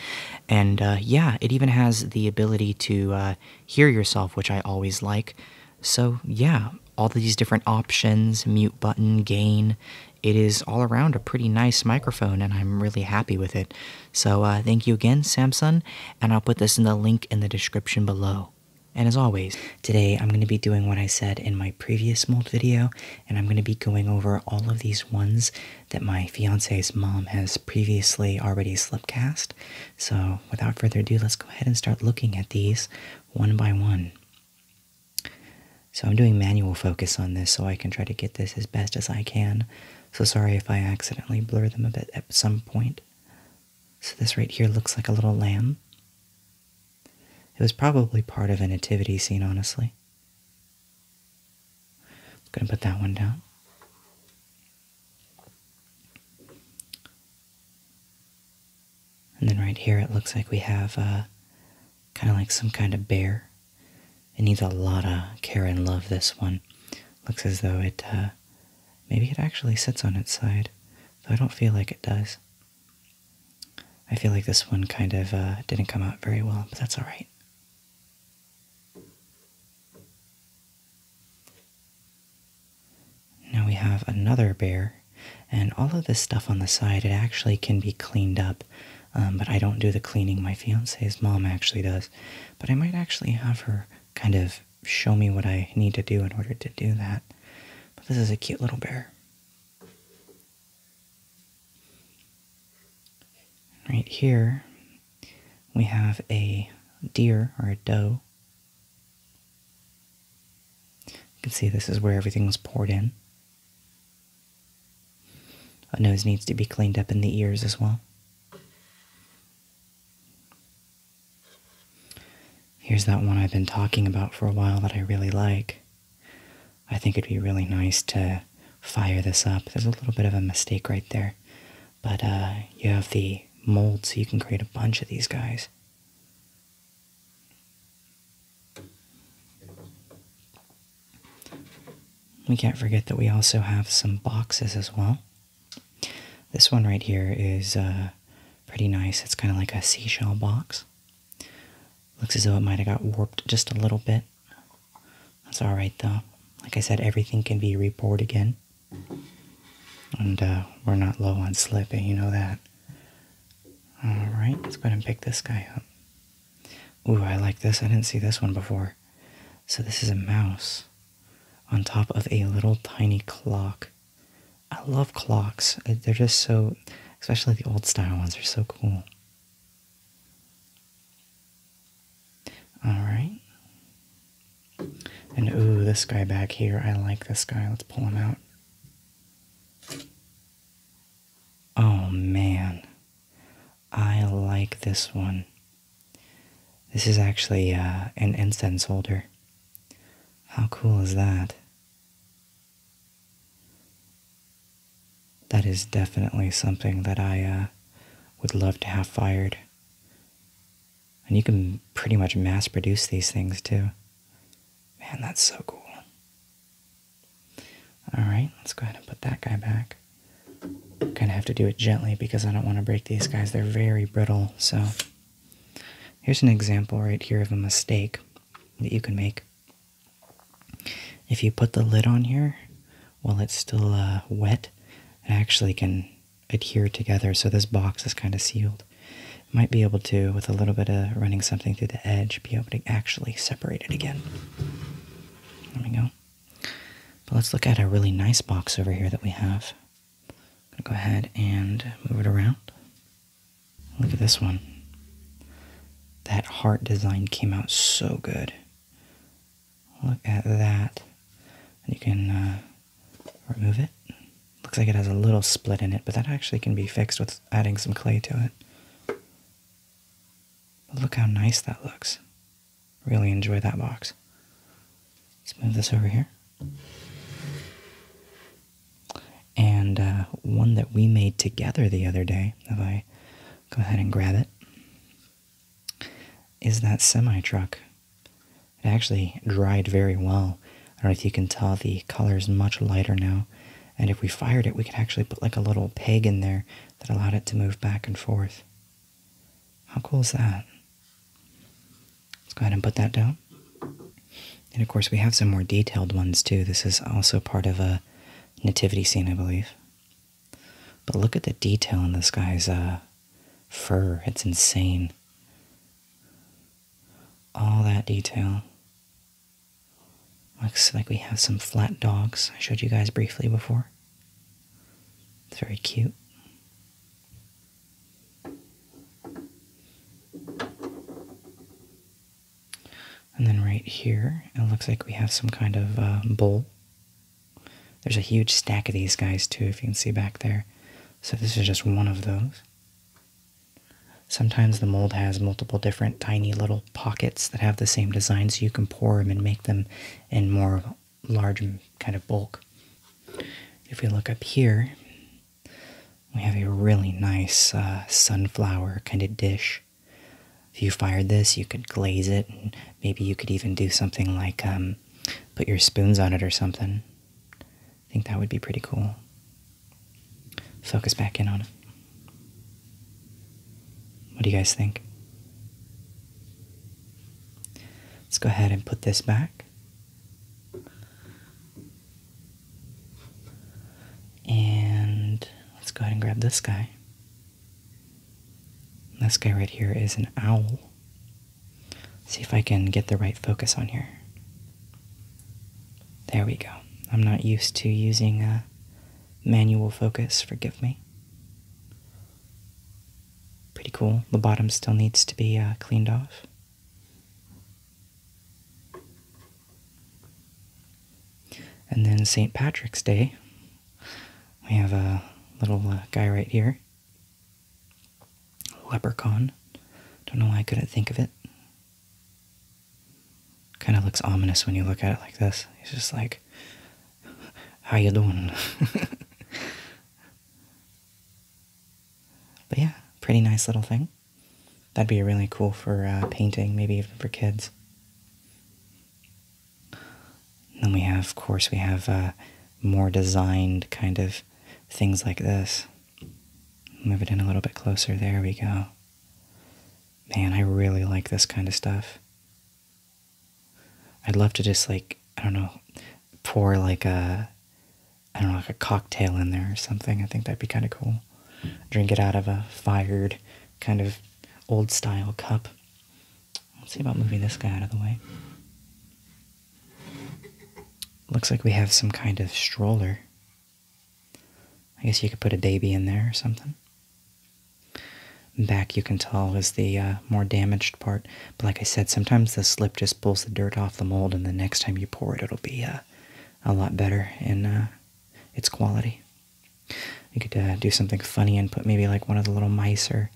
And uh, yeah, it even has the ability to uh, hear yourself, which I always like. So yeah, all these different options mute button, gain. It is all around a pretty nice microphone, and I'm really happy with it. So, uh, thank you again, Samsung, and I'll put this in the link in the description below. And as always, Today, I'm going to be doing what I said in my previous mold video, and I'm going to be going over all of these ones that my fiance's mom has previously already slipcast. So, without further ado, let's go ahead and start looking at these one by one. So, I'm doing manual focus on this so I can try to get this as best as I can. So, sorry if I accidentally blur them a bit at some point. So, this right here looks like a little lamb. It was probably part of a nativity scene, honestly. going to put that one down. And then right here, it looks like we have uh, kind of like some kind of bear. It needs a lot of care and love, this one. Looks as though it, uh, maybe it actually sits on its side, though I don't feel like it does. I feel like this one kind of uh, didn't come out very well, but that's all right. Now we have another bear, and all of this stuff on the side, it actually can be cleaned up, um, but I don't do the cleaning. My fiance's mom actually does, but I might actually have her kind of show me what I need to do in order to do that. But this is a cute little bear. Right here, we have a deer or a doe. You can see this is where everything was poured in. A nose needs to be cleaned up in the ears as well. Here's that one I've been talking about for a while that I really like. I think it'd be really nice to fire this up. There's a little bit of a mistake right there, but uh, you have the mold so you can create a bunch of these guys. We can't forget that we also have some boxes as well. This one right here is uh, pretty nice. It's kind of like a seashell box. Looks as though it might have got warped just a little bit. That's alright though. Like I said, everything can be rebored again. And uh, we're not low on slip, eh? you know that. Alright, let's go ahead and pick this guy up. Ooh, I like this. I didn't see this one before. So this is a mouse on top of a little tiny clock. I love clocks. They're just so especially the old style ones are so cool. All right. And ooh, this guy back here. I like this guy. Let's pull him out. Oh man. I like this one. This is actually uh, an incense holder. How cool is that? That is definitely something that I uh, would love to have fired. And you can pretty much mass produce these things too. Man, that's so cool. Alright, let's go ahead and put that guy back. Kind of have to do it gently because I don't want to break these guys. They're very brittle, so... Here's an example right here of a mistake that you can make. If you put the lid on here while it's still uh, wet, it actually can adhere together. So this box is kind of sealed. might be able to, with a little bit of running something through the edge, be able to actually separate it again. There we go. But let's look at a really nice box over here that we have. going to go ahead and move it around. Look at this one. That heart design came out so good. Look at that. You can uh, remove it. Looks like it has a little split in it, but that actually can be fixed with adding some clay to it. But look how nice that looks. Really enjoy that box. Let's move this over here and uh, one that we made together the other day, if I go ahead and grab it, is that semi truck. It actually dried very well. I don't know if you can tell the color is much lighter now. And if we fired it, we could actually put like a little peg in there that allowed it to move back and forth. How cool is that? Let's go ahead and put that down. And of course, we have some more detailed ones too. This is also part of a nativity scene, I believe. But look at the detail in this guy's uh, fur. It's insane. All that detail. Looks like we have some flat dogs I showed you guys briefly before. It's very cute. And then right here, it looks like we have some kind of uh, bowl. There's a huge stack of these guys too, if you can see back there. So this is just one of those. Sometimes the mold has multiple different tiny little pockets that have the same design, so you can pour them and make them in more large kind of bulk. If we look up here, we have a really nice uh, sunflower kind of dish if you fired this, you could glaze it, and maybe you could even do something like um, put your spoons on it or something. I think that would be pretty cool. Focus back in on it. What do you guys think? Let's go ahead and put this back. And let's go ahead and grab this guy. This guy right here is an owl. See if I can get the right focus on here. There we go. I'm not used to using a manual focus, forgive me. Pretty cool. The bottom still needs to be uh, cleaned off. And then St. Patrick's Day, we have a little uh, guy right here, leprechaun. Don't know why I couldn't think of it. Kind of looks ominous when you look at it like this. He's just like, "How you doing?" but yeah, pretty nice little thing. That'd be really cool for uh, painting, maybe even for kids. then we have, of course, we have uh, more designed kind of things like this. Move it in a little bit closer. There we go. Man, I really like this kind of stuff. I'd love to just like, I don't know, pour like a, I don't know, like a cocktail in there or something. I think that'd be kind of cool. Drink it out of a fired kind of old style cup. Let's see about moving this guy out of the way. Looks like we have some kind of stroller. I guess you could put a baby in there or something. Back, you can tell, is the uh, more damaged part. But like I said, sometimes the slip just pulls the dirt off the mold, and the next time you pour it, it'll be uh, a lot better in uh, its quality. You could uh, do something funny and put maybe like one of the little mice or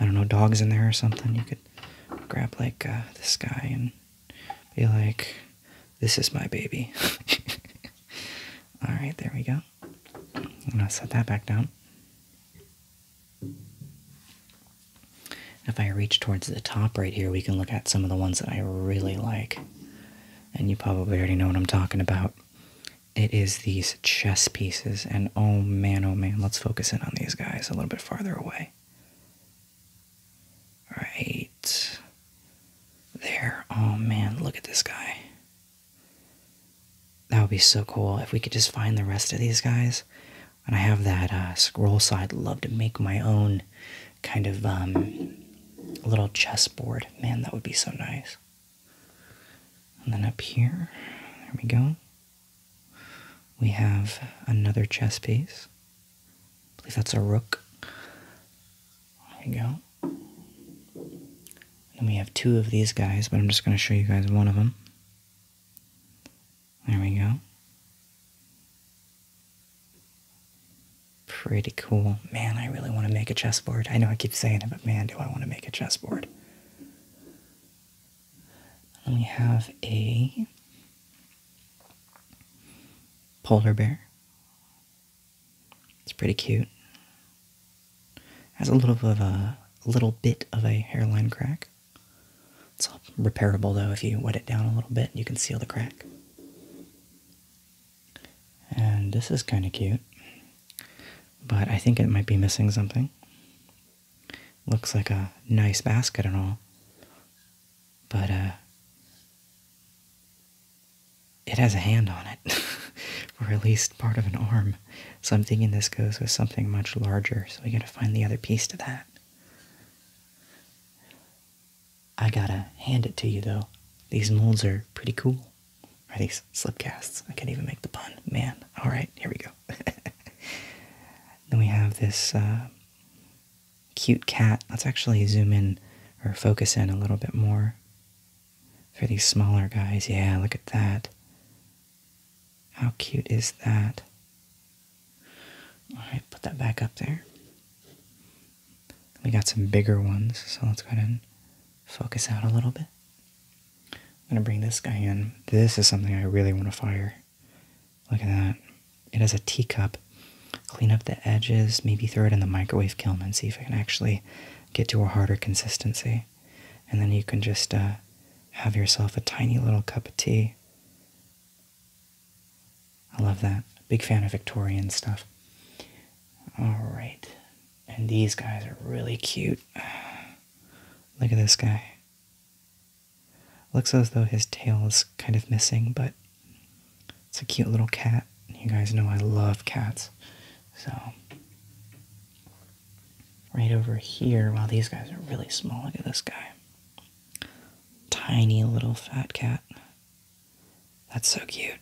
I don't know dogs in there or something. You could grab like uh, this guy and be like, "This is my baby." All right, there we go. I'm gonna set that back down. If I reach towards the top right here, we can look at some of the ones that I really like and you probably already know what I'm talking about. It is these chess pieces, and oh man, oh man, let's focus in on these guys a little bit farther away. Right there. Oh man, look at this guy. That would be so cool if we could just find the rest of these guys. And I have that uh, scroll, so I'd love to make my own kind of um, little chessboard. Man, that would be so nice. And then up here, there we go. We have another chess piece. I believe that's a rook. There we go. And we have two of these guys, but I'm just going to show you guys one of them. There we go. Pretty cool. Man, I really want to make a chessboard. I know I keep saying it, but man, do I want to make a chessboard. And we have a polar bear. It's pretty cute. Has a little bit of a little bit of a hairline crack. It's all repairable though if you wet it down a little bit, you can seal the crack. And this is kind of cute, but I think it might be missing something. Looks like a nice basket and all, but uh, it has a hand on it, or at least part of an arm. So I'm thinking this goes with something much larger, so we gotta find the other piece to that. I gotta hand it to you though. These molds are pretty cool. Are these slip casts? I can't even make the pun. Man. Alright, here we go. then we have this uh, cute cat. Let's actually zoom in or focus in a little bit more for these smaller guys. Yeah, look at that. How cute is that? Alright, put that back up there. We got some bigger ones, so let's go ahead and focus out a little bit. I'm going to bring this guy in. This is something I really want to fire. Look at that. It has a teacup. Clean up the edges, maybe throw it in the microwave kiln and see if I can actually get to a harder consistency. And then you can just uh, have yourself a tiny little cup of tea. I love that. Big fan of Victorian stuff. All right, and these guys are really cute. Look at this guy. Looks as though his tail is kind of missing, but it's a cute little cat. You guys know I love cats. So, right over here, wow, these guys are really small. Look at this guy. Tiny little fat cat. That's so cute.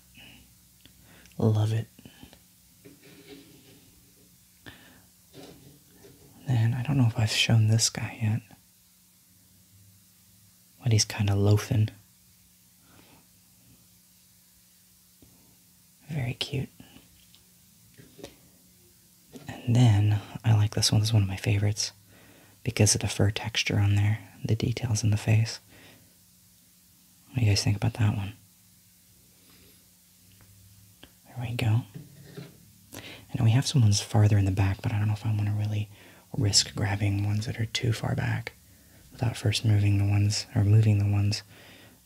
Love it. Then I don't know if I've shown this guy yet. But he's kind of loafing. Very cute. And then I like this one. This one of my favorites because of the fur texture on there, the details in the face. What do you guys think about that one? There we go. And we have some ones farther in the back, but I don't know if I want to really risk grabbing ones that are too far back without first moving the ones, or moving the ones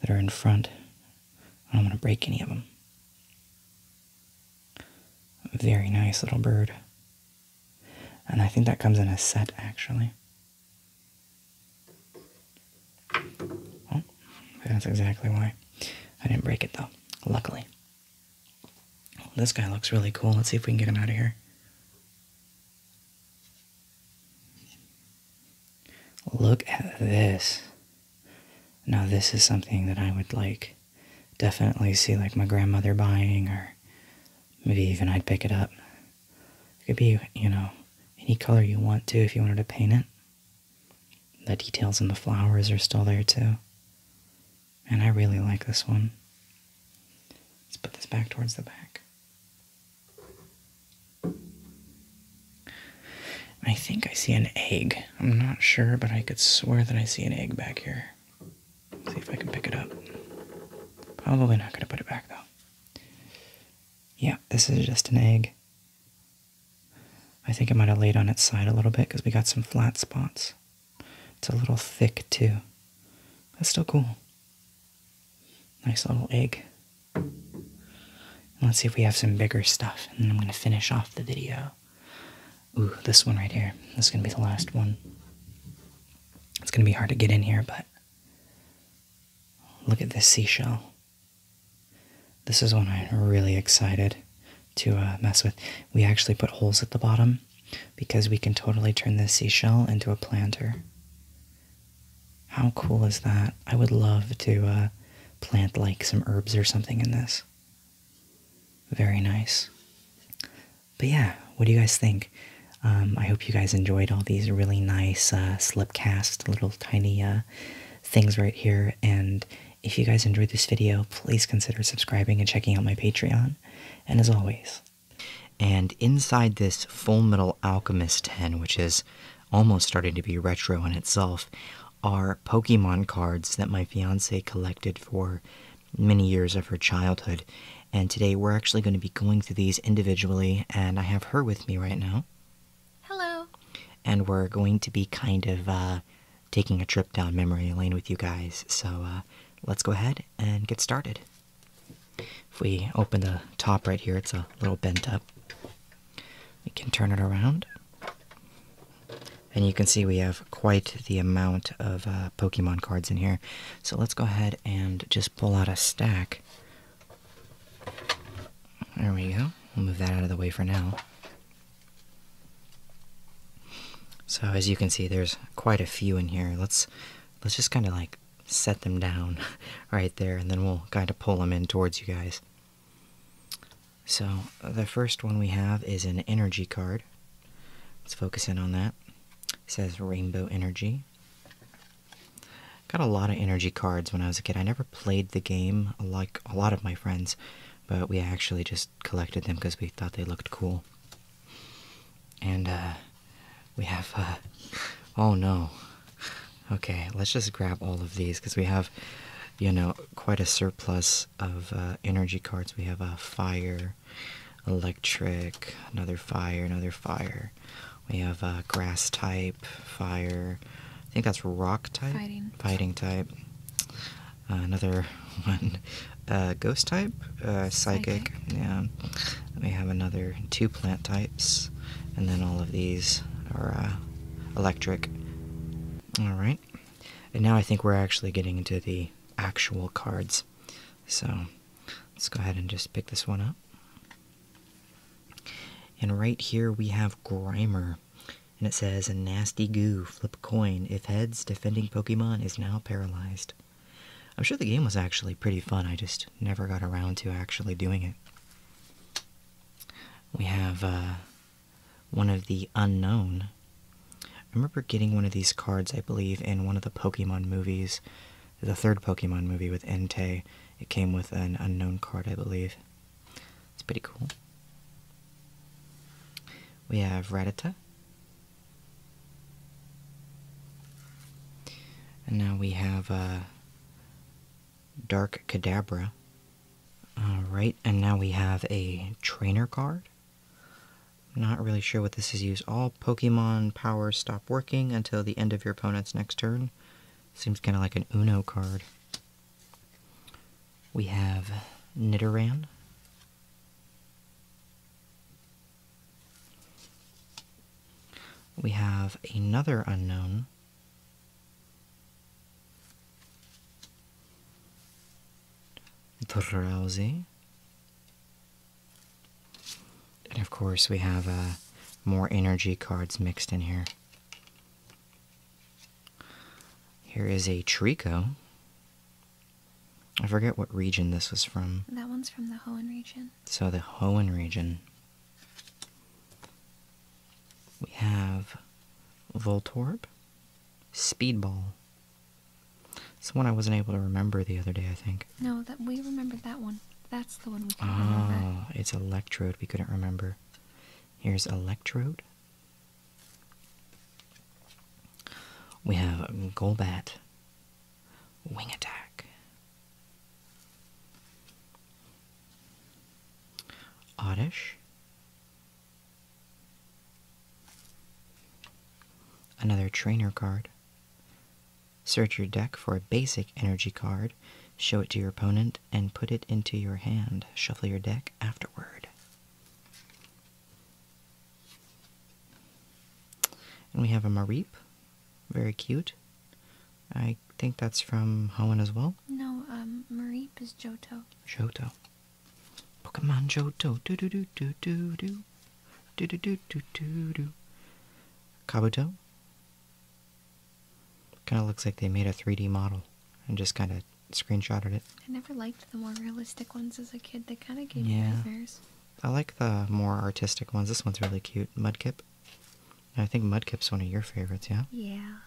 that are in front. I don't want to break any of them. Very nice little bird. And I think that comes in a set, actually. Well, that's exactly why. I didn't break it though, luckily. This guy looks really cool. Let's see if we can get him out of here. Look at this. Now this is something that I would like definitely see like my grandmother buying or maybe even I'd pick it up. It could be, you know, any color you want to if you wanted to paint it. The details and the flowers are still there too. And I really like this one. Let's put this back towards the back. I think I see an egg. I'm not sure, but I could swear that I see an egg back here. see if I can pick it up. Probably not going to put it back though. Yeah, this is just an egg. I think it might have laid on its side a little bit because we got some flat spots. It's a little thick too. That's still cool. Nice little egg. Let's see if we have some bigger stuff, and then I'm going to finish off the video. Ooh, this one right here. This is going to be the last one. It's going to be hard to get in here, but Look at this seashell. This is one I'm really excited to uh, mess with. We actually put holes at the bottom because we can totally turn this seashell into a planter. How cool is that? I would love to uh, plant like some herbs or something in this. Very nice. But yeah, what do you guys think? Um, I hope you guys enjoyed all these really nice uh, slipcast little tiny uh, things right here. And if you guys enjoyed this video, please consider subscribing and checking out my Patreon. And as always, and inside this Full Metal Alchemist 10, which is almost starting to be retro in itself, are Pokemon cards that my fiance collected for many years of her childhood. And today we're actually going to be going through these individually, and I have her with me right now. Hello. And we're going to be kind of uh, taking a trip down memory lane with you guys. So uh, let's go ahead and get started. If we open the top right here, it's a little bent up. We can turn it around. And you can see we have quite the amount of uh, Pokemon cards in here. So let's go ahead and just pull out a stack there we go. We'll move that out of the way for now. So as you can see, there's quite a few in here. Let's let's just kind of like set them down right there, and then we'll kind of pull them in towards you guys. So the first one we have is an energy card. Let's focus in on that. says Rainbow Energy. Got a lot of energy cards when I was a kid. I never played the game like a lot of my friends, but we actually just collected them because we thought they looked cool. And uh, we have, uh, oh no. Okay, let's just grab all of these because we have, you know, quite a surplus of uh, energy cards. We have a fire, electric, another fire, another fire. We have uh, grass type, fire. I think that's rock type. Fighting. Fighting type. Uh, another one, uh, ghost type, uh, psychic. psychic. Yeah. We have another two plant types, and then all of these are electric. All right. And now I think we're actually getting into the actual cards. So let's go ahead and just pick this one up. And right here we have Grimer. And it says, a nasty goo, flip a coin. If heads, defending Pokemon is now paralyzed. I'm sure the game was actually pretty fun. I just never got around to actually doing it. We have uh, one of the unknown. I remember getting one of these cards, I believe, in one of the Pokemon movies the third Pokemon movie with Entei. It came with an unknown card, I believe. It's pretty cool. We have Radita. And now we have uh, Dark Cadabra. Alright, and now we have a trainer card. Not really sure what this is used. All Pokemon powers stop working until the end of your opponent's next turn. Seems kind of like an Uno card. We have Knitteran. We have another unknown. Drowsy. And of course, we have uh, more energy cards mixed in here. Here is a Trico. I forget what region this was from. That one's from the Hoenn region. So, the Hoenn region. We have Voltorb, Speedball. It's one I wasn't able to remember the other day, I think. No, that we remember that one. That's the one we couldn't remember. Ah, it's electrode. We couldn't remember. Here's electrode. We have Golbat. Wing attack. Oddish. Another trainer card. Search your deck for a basic energy card, show it to your opponent, and put it into your hand. Shuffle your deck afterward. And we have a Mareep. Very cute. I think that's from Hoenn as well. No, um, Mareep is Johto. Johto. Pokemon Johto. Do do do do do do. Do do do do do do. Kabuto. Kind of looks like they made a 3D model and just kind of screenshotted it. I never liked the more realistic ones as a kid. They kind of gave me yeah. nightmares. I like the more artistic ones. This one's really cute. Mudkip. I think Mudkip's one of your favorites, yeah? Yeah.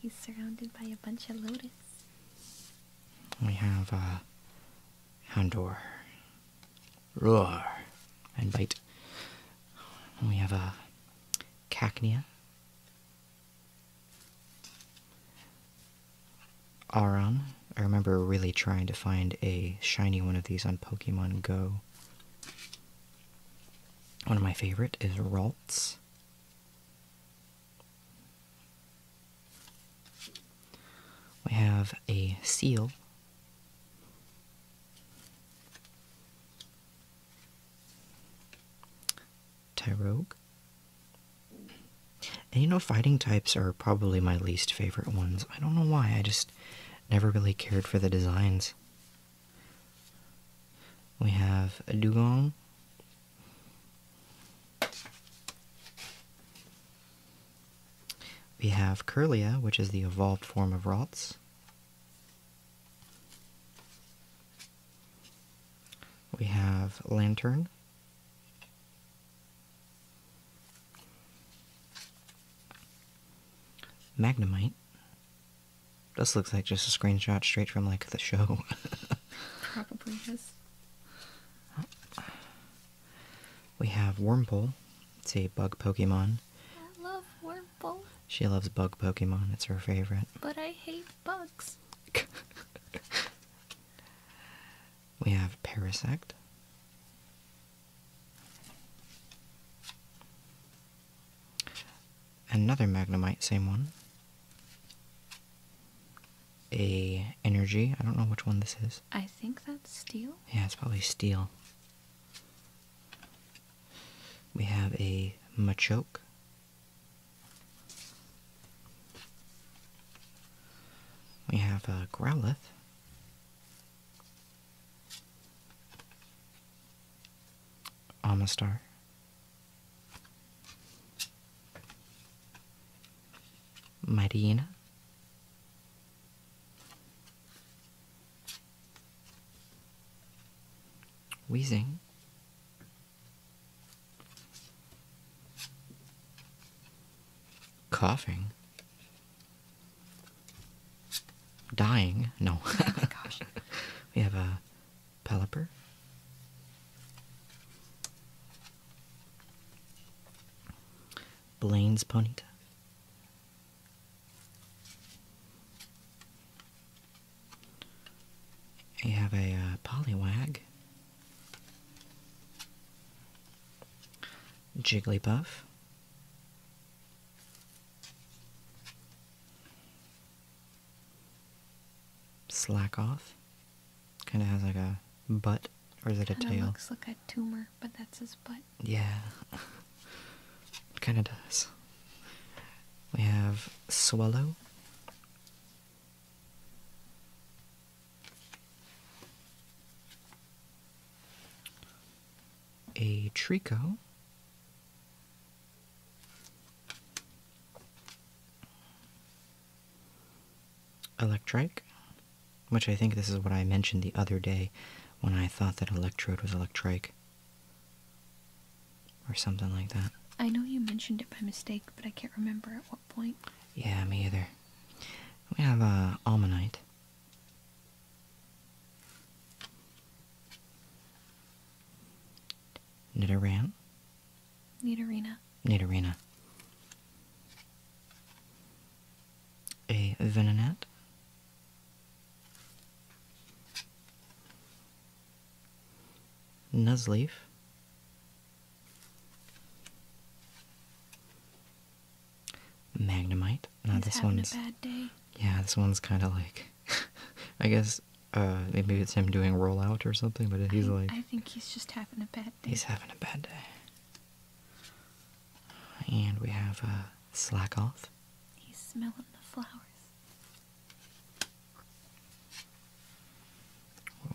He's surrounded by a bunch of lotus. We have, uh, a Houndour roar and bite. we have a cacnea, Aron. I remember really trying to find a shiny one of these on Pokemon Go. One of my favorite is Ralts. We have a seal Tyrogue. And you know, fighting types are probably my least favorite ones. I don't know why, I just never really cared for the designs. We have a dugong. We have Curlia, which is the evolved form of Rotz. We have lantern. Magnemite. This looks like just a screenshot straight from like the show. Probably is. We have Wormpole. It's a bug Pokemon. She loves bug Pokemon. It's her favorite. But I hate bugs. we have Parasect. Another Magnemite, same one. A energy. I don't know which one this is. I think that's steel. Yeah, it's probably steel. We have a Machoke. We have a Growlithe. Amistar. Marina wheezing. Coughing. Dying. No. Oh we have a Pelipper. Blaine's Ponyta. You have a uh, Jigglypuff, Slackoff. Kind of has like a butt, or is it a tail? Looks like a tumor, but that's his butt. Yeah. it kinda does. We have swallow. A Trico. Electrike, which I think this is what I mentioned the other day when I thought that Electrode was Electrike. Or something like that. I know you mentioned it by mistake, but I can't remember at what point. Yeah, me either. We have a uh, almanite. Nidoran? Nidorina. Nidorina. A Venonat. Nuzleaf. Magnemite. this Yeah, this one's kind of like. I guess uh, maybe it's him doing rollout or something, but he's like. I think he's just having a bad day. He's having a bad day. And we have uh, Slackoth. He's smelling the flowers.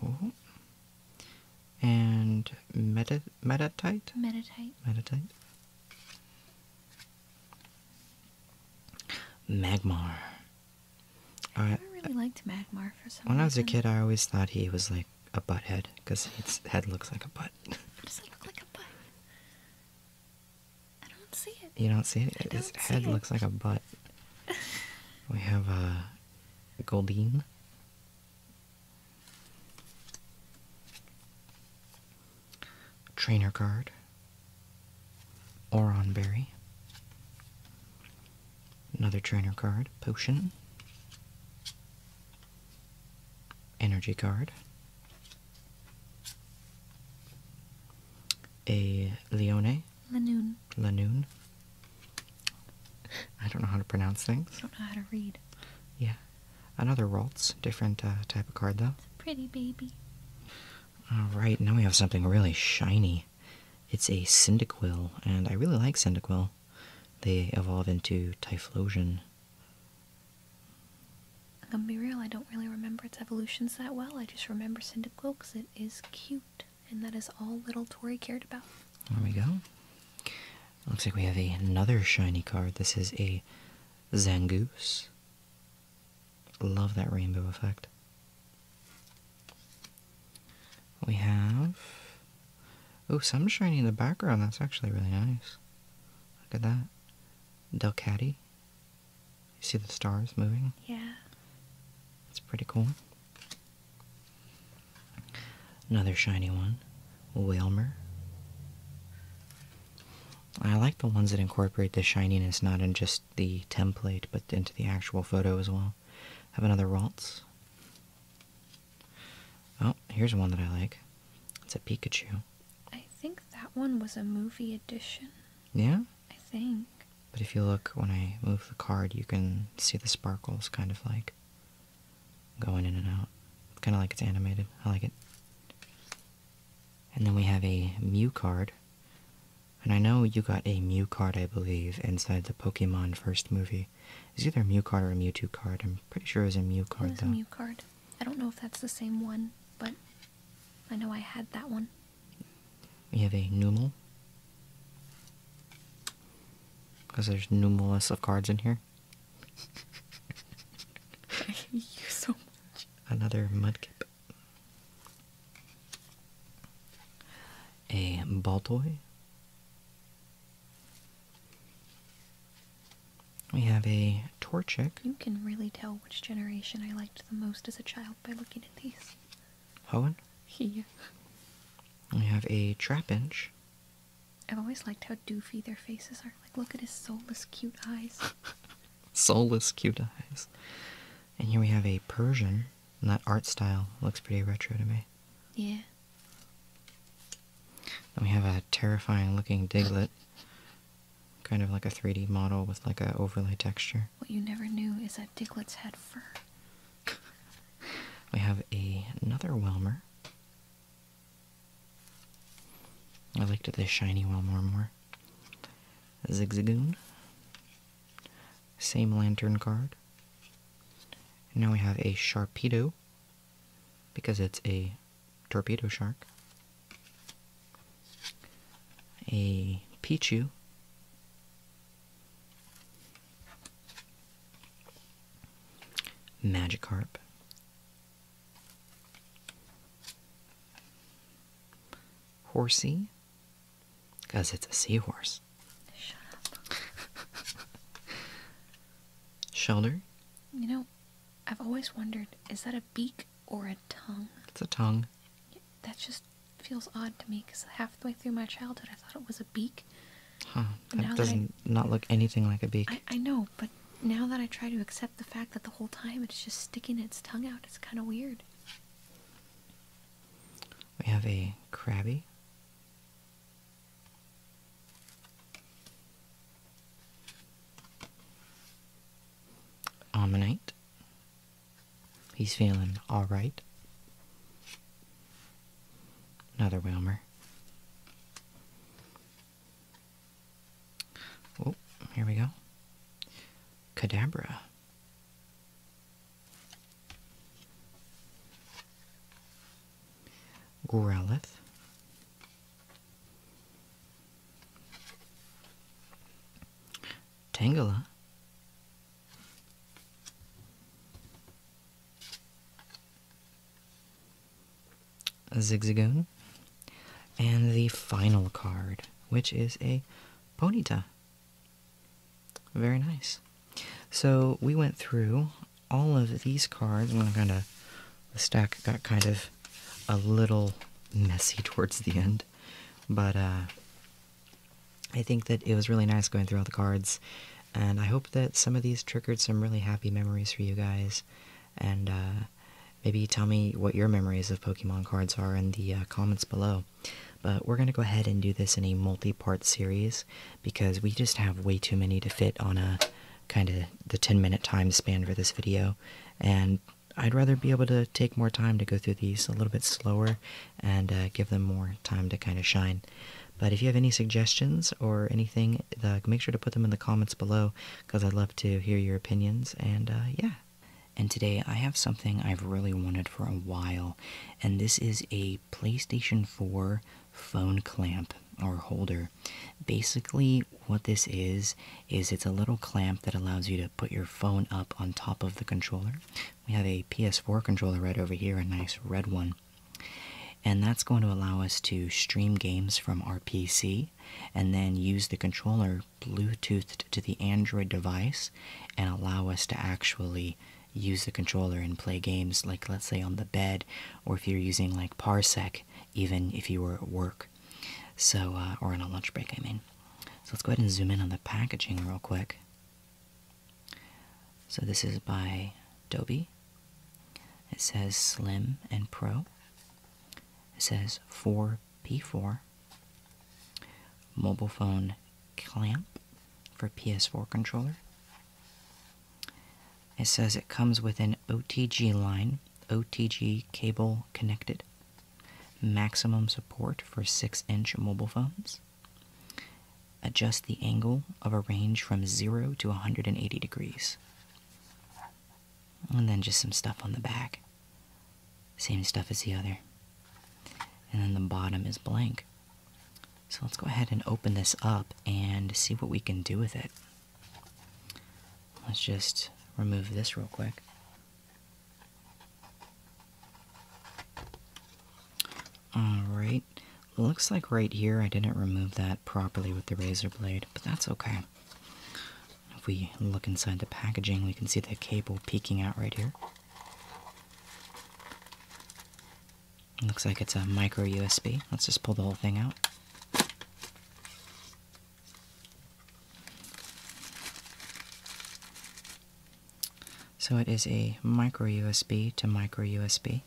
Oh. And meta metatite? Metatite. Metatite. Magmar. I really liked Magmar for some When I was a kid, I always thought he was like a butt head because his head looks like a butt. How does it look like a butt? I don't see it. You don't see it? His head looks like a butt. we have a uh, Goldine. Trainer card. Oron Berry. Another trainer card. Potion. Energy card a Leone. Lanoon. Lanoon. I don't know how to pronounce things. I don't know how to read. Yeah. Another Ralts. Different uh, type of card, though. pretty baby. Alright, now we have something really shiny. It's a Cyndaquil, and I really like Cyndaquil. They evolve into Typhlosion i gonna be real, I don't really remember its evolutions that well. I just remember Cyndaquil because it is cute, and that is all little Tori cared about. There we go. Looks like we have another shiny card. This is a Zangoose. Love that rainbow effect. We have... Oh, some shiny in the background. That's actually really nice. Look at that. Delcatty. You see the stars moving? Yeah. It's pretty cool. Another shiny one, Whalmer. I like the ones that incorporate the shininess not in just the template, but into the actual photo as well. Have another Ralts. Oh, here's one that I like. It's a Pikachu. I think that one was a movie edition. Yeah? I think. But if you look when I move the card, you can see the sparkles kind of like going in and out. Kind of like it's animated. I like it. And then we have a Mew card. And I know you got a Mew card, I believe, inside the Pokemon first movie. It's either a Mew card or a Mewtwo card. I'm pretty sure it was a Mew card, though. It was a Mew card. I don't know if that's the same one, but I know I had that one. We have a numel Because there's numerous of cards in here. I hate you so much. Another mudkip. A ball toy. We have a Torchic. You can really tell which generation I liked the most as a child by looking at these. Hoenn? Yeah. We have a Trapinch. I've always liked how doofy their faces are. Like, look at his soulless, cute eyes. soulless, cute eyes. And here we have a Persian. And that art style looks pretty retro to me. Yeah. Then we have a terrifying looking Diglett kind of like a 3D model with like a overlay texture. What you never knew is that Diglett's had fur. we have a, another Welmer. I liked this shiny Welmer more. Zigzagoon. Same lantern guard. now we have a Sharpedo because it's a Torpedo Shark, a Pichu, Magikarp, Horsey, because it's a seahorse. Shut up. Shelter. You know, I've always wondered is that a beak or a tongue. It's a tongue. That just feels odd to me because half the way through my childhood I thought it was a beak. Huh. That doesn't I, not look anything like a beak. I, know, but now that I try to accept the fact that the whole time it's just sticking its tongue out, it's kind of weird. We have a crabby. Ammonite. He's feeling alright. Another Wilmer. Oh, here we go. Cadabra. Growlithe. Tangela. Zigzagoon. And the final card, which is a Ponyta. Very nice. So we went through all of these cards. i kind of the stack got kind of a little messy towards the end. But uh, I think that it was really nice going through all the cards, and I hope that some of these triggered some really happy memories for you guys. And uh, maybe tell me what your memories of Pokemon cards are in the uh, comments below. But we're going to go ahead and do this in a multi part series because we just have way too many to fit on a kind of the 10 minute time span for this video. And I'd rather be able to take more time to go through these a little bit slower and uh, give them more time to kind of shine. But if you have any suggestions or anything, make sure to put them in the comments below because I'd love to hear your opinions. And uh, yeah. And today I have something I've really wanted for a while, and this is a PlayStation 4 phone clamp or holder. Basically, what this is, is it's a little clamp that allows you to put your phone up on top of the controller. We have a PS4 controller right over here, a nice red one. And that's going to allow us to stream games from our PC and then use the controller Bluetoothed to the Android device and allow us to actually use the controller and play games, like let's say on the bed, or if you're using like Parsec, even if you were at work. So, uh, or on a lunch break, I mean. So let's go ahead and zoom in on the packaging real quick. So this is by Dobie. It says Slim and Pro. It says 4P4. Mobile phone clamp for PS4 controller. It says it comes with an OTG line, OTG cable connected maximum support for 6 inch mobile phones, adjust the angle of a range from 0 to 180 degrees, and then just some stuff on the back. Same stuff as the other. And then the bottom is blank. So let's go ahead and open this up and see what we can do with it. Let's just remove this real quick. Alright, looks like right here I didn't remove that properly with the razor blade, but that's okay. If we look inside the packaging, we can see the cable peeking out right here. Looks like it's a micro USB. Let's just pull the whole thing out. So it is a micro USB to micro USB.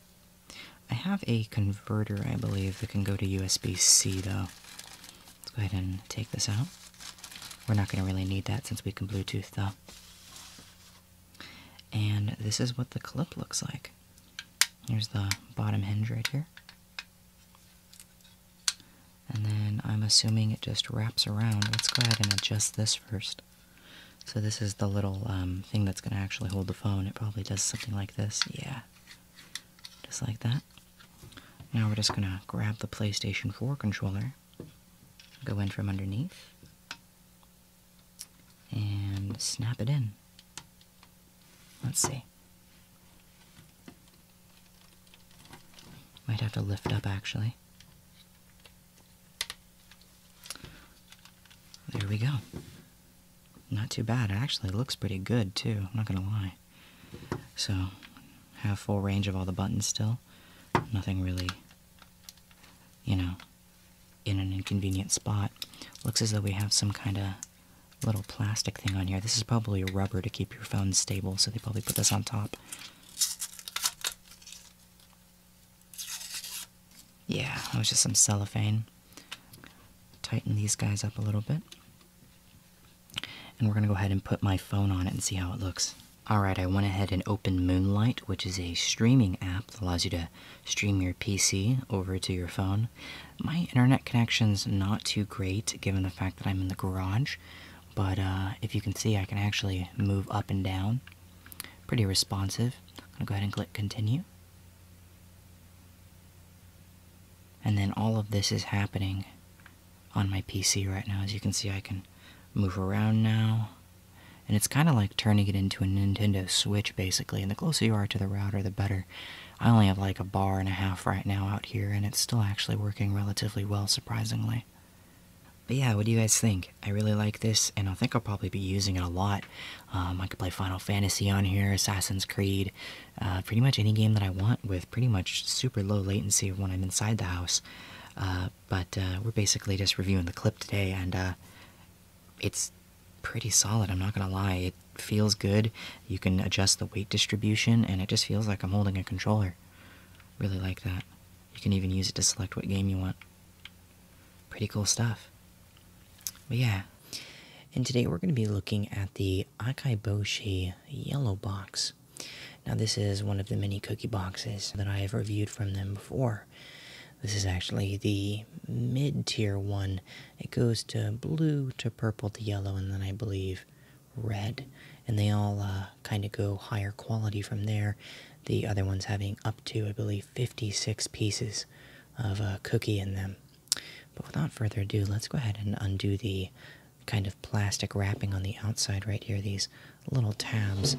I have a converter, I believe, that can go to USB-C though. Let's go ahead and take this out. We're not going to really need that since we can Bluetooth though. And this is what the clip looks like. Here's the bottom hinge right here. And then I'm assuming it just wraps around. Let's go ahead and adjust this first. So this is the little um, thing that's going to actually hold the phone. It probably does something like this. Yeah. Just like that. Now we're just going to grab the PlayStation 4 controller, go in from underneath, and snap it in. Let's see. Might have to lift up actually. There we go. Not too bad. It actually looks pretty good too, I'm not gonna lie. So, have full range of all the buttons still. Nothing really, you know, in an inconvenient spot. Looks as though we have some kind of little plastic thing on here. This is probably a rubber to keep your phone stable, so they probably put this on top. Yeah, it was just some cellophane. Tighten these guys up a little bit. And we're gonna go ahead and put my phone on it and see how it looks. Alright, I went ahead and opened Moonlight, which is a streaming app that allows you to stream your PC over to your phone. My internet connection's not too great given the fact that I'm in the garage, but uh, if you can see, I can actually move up and down. Pretty responsive. I'm going to go ahead and click continue. And then all of this is happening on my PC right now. As you can see, I can move around now. And it's kind of like turning it into a Nintendo Switch, basically. And the closer you are to the router, the better. I only have like a bar and a half right now out here, and it's still actually working relatively well, surprisingly. But yeah, what do you guys think? I really like this, and I think I'll probably be using it a lot. Um, I could play Final Fantasy on here, Assassin's Creed, uh, pretty much any game that I want with pretty much super low latency when I'm inside the house. Uh, but uh, we're basically just reviewing the clip today, and it's pretty solid, I'm not gonna lie. It feels good, you can adjust the weight distribution, and it just feels like I'm holding a controller. Really like that. You can even use it to select what game you want. Pretty cool stuff. But yeah. And today we're going to be looking at the Akaiboshi Yellow Box. Now, this is one of the many cookie boxes that I have reviewed from them before. This is actually the mid tier one. It goes to blue to purple to yellow, and then I believe red, and they all uh, kind of go higher quality from there. The other ones having up to, I believe, 56 pieces of uh, cookie in them. But without further ado, let's go ahead and undo the kind of plastic wrapping on the outside right here, these little tabs.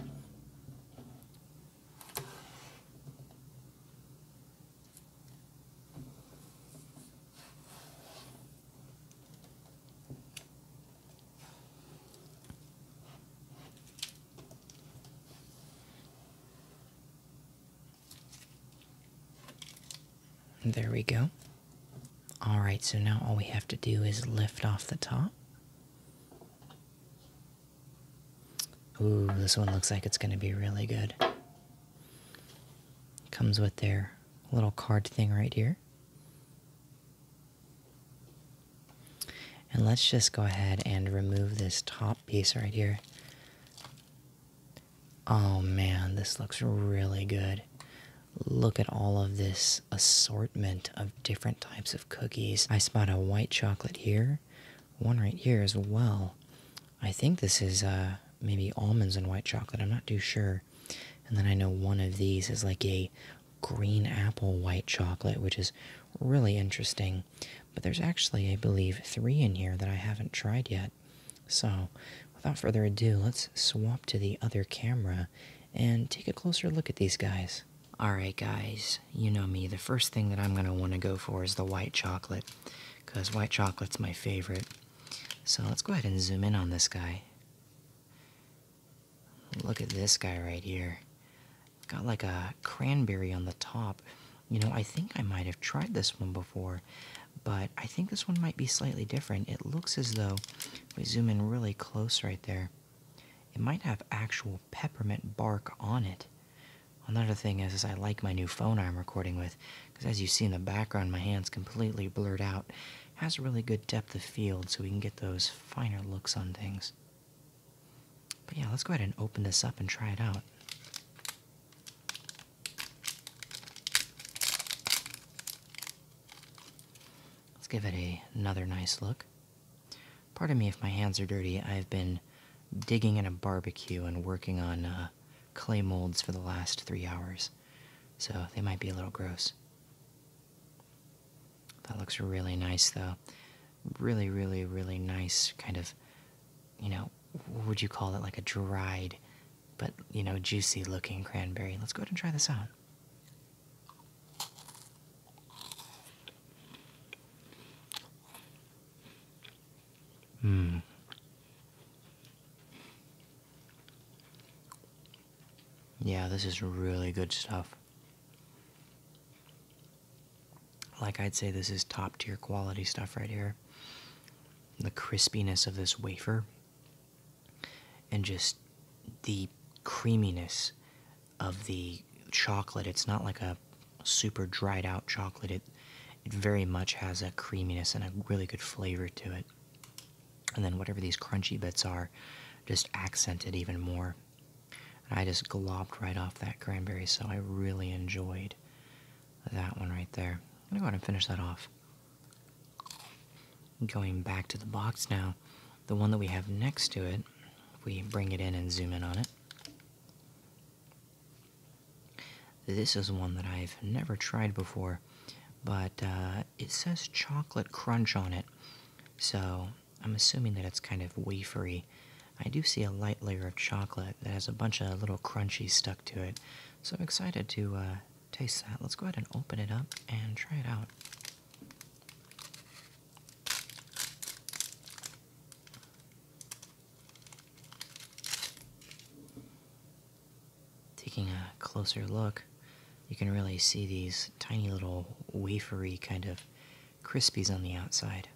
There we go. All right, so now all we have to do is lift off the top. Ooh, this one looks like it's going to be really good. Comes with their little card thing right here. And let's just go ahead and remove this top piece right here. Oh man, this looks really good. Look at all of this assortment of different types of cookies. I spot a white chocolate here, one right here as well. I think this is uh, maybe almonds and white chocolate, I'm not too sure. And then I know one of these is like a green apple white chocolate, which is really interesting. But there's actually, I believe, three in here that I haven't tried yet. So, without further ado, let's swap to the other camera and take a closer look at these guys. Alright, guys, you know me. The first thing that I'm going to want to go for is the white chocolate because white chocolate's my favorite. So, let's go ahead and zoom in on this guy. Look at this guy right here. Got like a cranberry on the top. You know, I think I might have tried this one before, but I think this one might be slightly different. It looks as though, if we zoom in really close right there, it might have actual peppermint bark on it. Another thing is, is I like my new phone I'm recording with, because as you see in the background, my hand's completely blurred out has a really good depth of field so we can get those finer looks on things. But yeah, let's go ahead and open this up and try it out. Let's give it a, another nice look. Pardon me if my hands are dirty. I've been digging in a barbecue and working on uh, clay molds for the last three hours, so they might be a little gross. That looks really nice, though. Really, really, really nice kind of, you know, would you call it? Like a dried, but, you know, juicy looking cranberry. Let's go ahead and try this out. Mmm. Yeah, this is really good stuff. Like I'd say, this is top tier quality stuff right here. The crispiness of this wafer and just the creaminess of the chocolate. It's not like a super dried out chocolate. It it very much has a creaminess and a really good flavor to it and then whatever these crunchy bits are just accented even more i just glopped right off that cranberry so i really enjoyed that one right there i'm gonna go ahead and finish that off going back to the box now the one that we have next to it we bring it in and zoom in on it this is one that i've never tried before but uh, uh, it says chocolate crunch on it, so I'm assuming that it's kind of wafery. I do see a light layer of chocolate that has a bunch of little crunchies stuck to it, so I'm excited to uh, taste that. Let's go ahead and open it up and try it out. Taking a closer look, you can really see these tiny little wafery kind of crispies on the outside.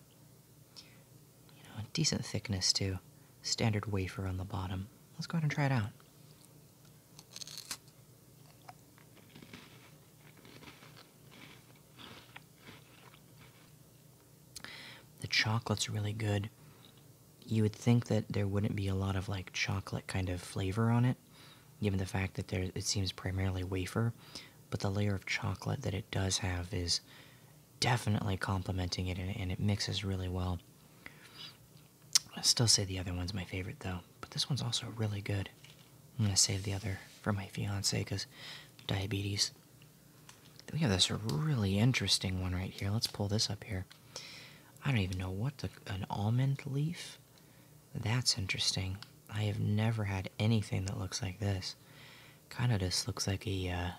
You know, decent thickness too. Standard wafer on the bottom. Let's go ahead and try it out. The chocolate's really good. You would think that there wouldn't be a lot of like chocolate kind of flavor on it given the fact that it seems primarily wafer, but the layer of chocolate that it does have is definitely complementing it, and, it mixes really well. I still say the other one's my favorite though, but this one's also really good. I'm gonna save the other for my fiance because diabetes. We have this really interesting one right here. Let's pull this up here. I don't even know what an almond leaf. That's interesting. I have never had anything that looks like this. Kind of just looks like a, uh,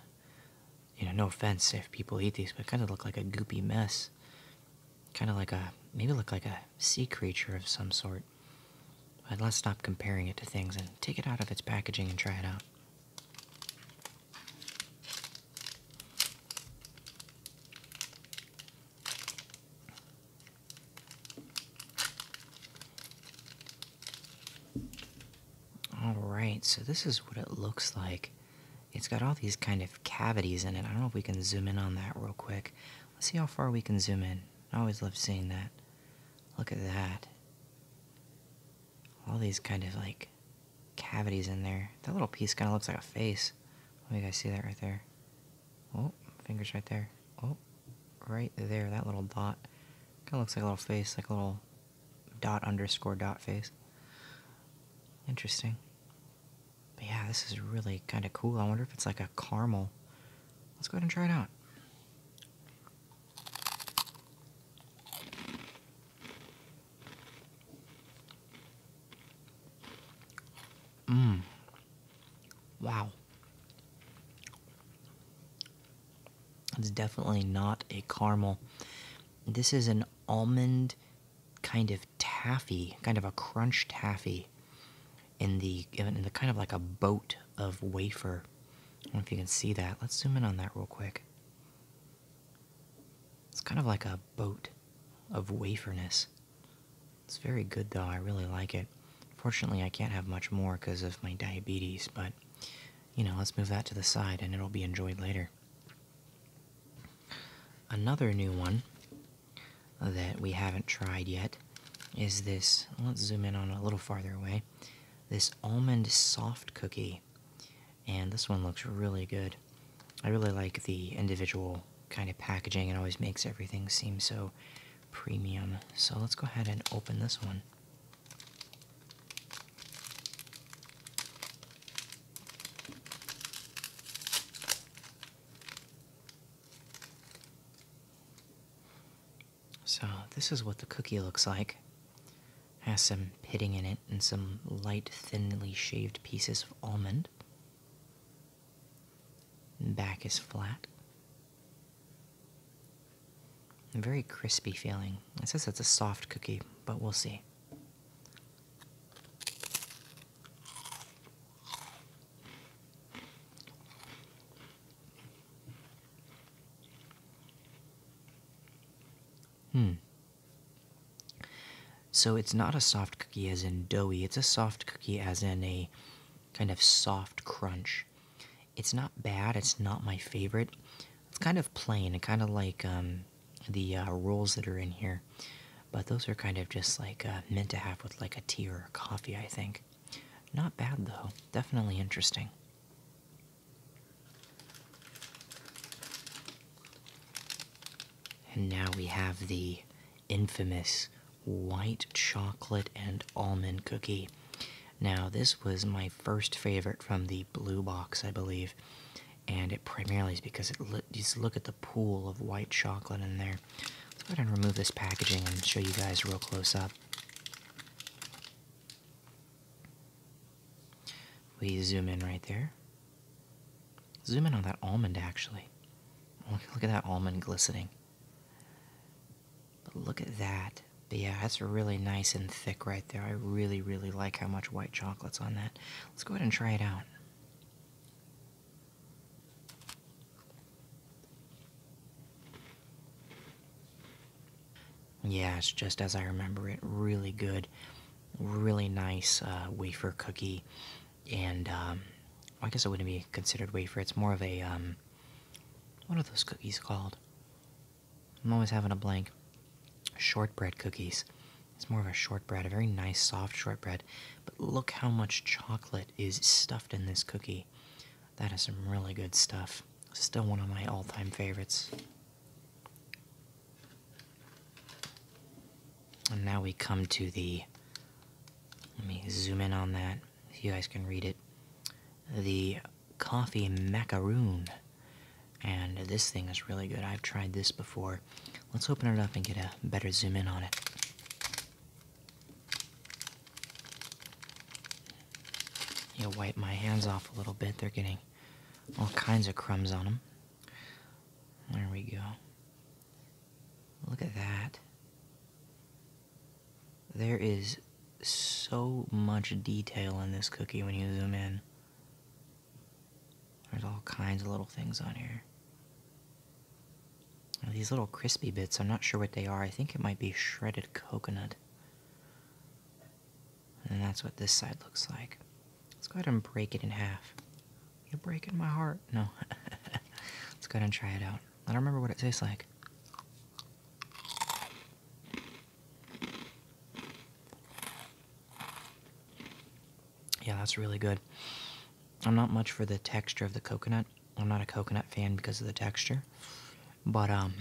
you know, no offense if people eat these, but kind of look like a goopy mess. Kind of like a, maybe look like a sea creature of some sort. But let's stop comparing it to things and take it out of its packaging and try it out. All right, so this is what it looks like. It's got all these kind of cavities in it. I don't know if we can zoom in on that real quick. Let's see how far we can zoom in. I always love seeing that. Look at that. All these kind of like cavities in there. That little piece kind of looks like a face. Let me guys see that right there. Oh, fingers right there. Oh, right there, that little dot. Kind of looks like a little face, like a little dot underscore dot face. Interesting. But yeah, this is really kind of cool. I wonder if it's like a caramel. Let's go ahead and try it out. Mmm. Wow. It's definitely not a caramel. This is an almond kind of taffy, kind of a crunch taffy in the in the kind of like a boat of wafer. I don't know if you can see that. Let's zoom in on that real quick. It's kind of like a boat of waferness. It's very good though, I really like it. Fortunately, I can't have much more because of my diabetes, but you know, let's move that to the side and it'll be enjoyed later. Another new one that we haven't tried yet is this. Let's zoom in on a little farther away. This almond soft cookie. And this one looks really good. I really like the individual kind of packaging. It always makes everything seem so premium. So let's go ahead and open this one. So this is what the cookie looks like. Has some pitting in it and some light, thinly shaved pieces of almond back is flat. A very crispy feeling. It says it's a soft cookie, but we'll see. Hmm. So it's not a soft cookie as in doughy, it's a soft cookie as in a kind of soft crunch. It's not bad, it's not my favorite. It's kind of plain, kind of like um, the uh, rolls that are in here. But those are kind of just like uh, meant to have with like a tea or a coffee, I think. Not bad though, definitely interesting. And now we have the infamous white chocolate and almond cookie. Now, this was my first favorite from the blue box, I believe, and it primarily is because it lo just look at the pool of white chocolate in there. Let's go ahead and remove this packaging and show you guys real close up. We zoom in right there. Zoom in on that almond, actually. look at that almond glistening. But look at that. But yeah, that's really nice and thick right there. I really, really like how much white chocolate's on that. Let's go ahead and try it out. Yeah, it's just as I remember it. Really good, really nice uh, wafer cookie and um, I guess it wouldn't be considered wafer. It's more of a um, what are those cookies called? I'm always having a blank. Shortbread cookies. It's more of a shortbread, a very nice soft shortbread. But look how much chocolate is stuffed in this cookie. That is some really good stuff. Still one of my all-time favorites. And now we come to the let me zoom in on that so you guys can read it. The coffee macaroon. And this thing is really good. I've tried this before. Let's open it up and get a better zoom in on it. You wipe my hands off a little bit. They're getting all kinds of crumbs on them. There we go. Look at that. There is so much detail in this cookie when you zoom in. There's all kinds of little things on here. These little crispy bits, I'm not sure what they are. I think it might be shredded coconut. And that's what this side looks like. Let's go ahead and break it in half. You're breaking my heart. No. Let's go ahead and try it out. I don't remember what it tastes like. Yeah, that's really good. I'm not much for the texture of the coconut. I'm not a coconut fan because of the texture. But um,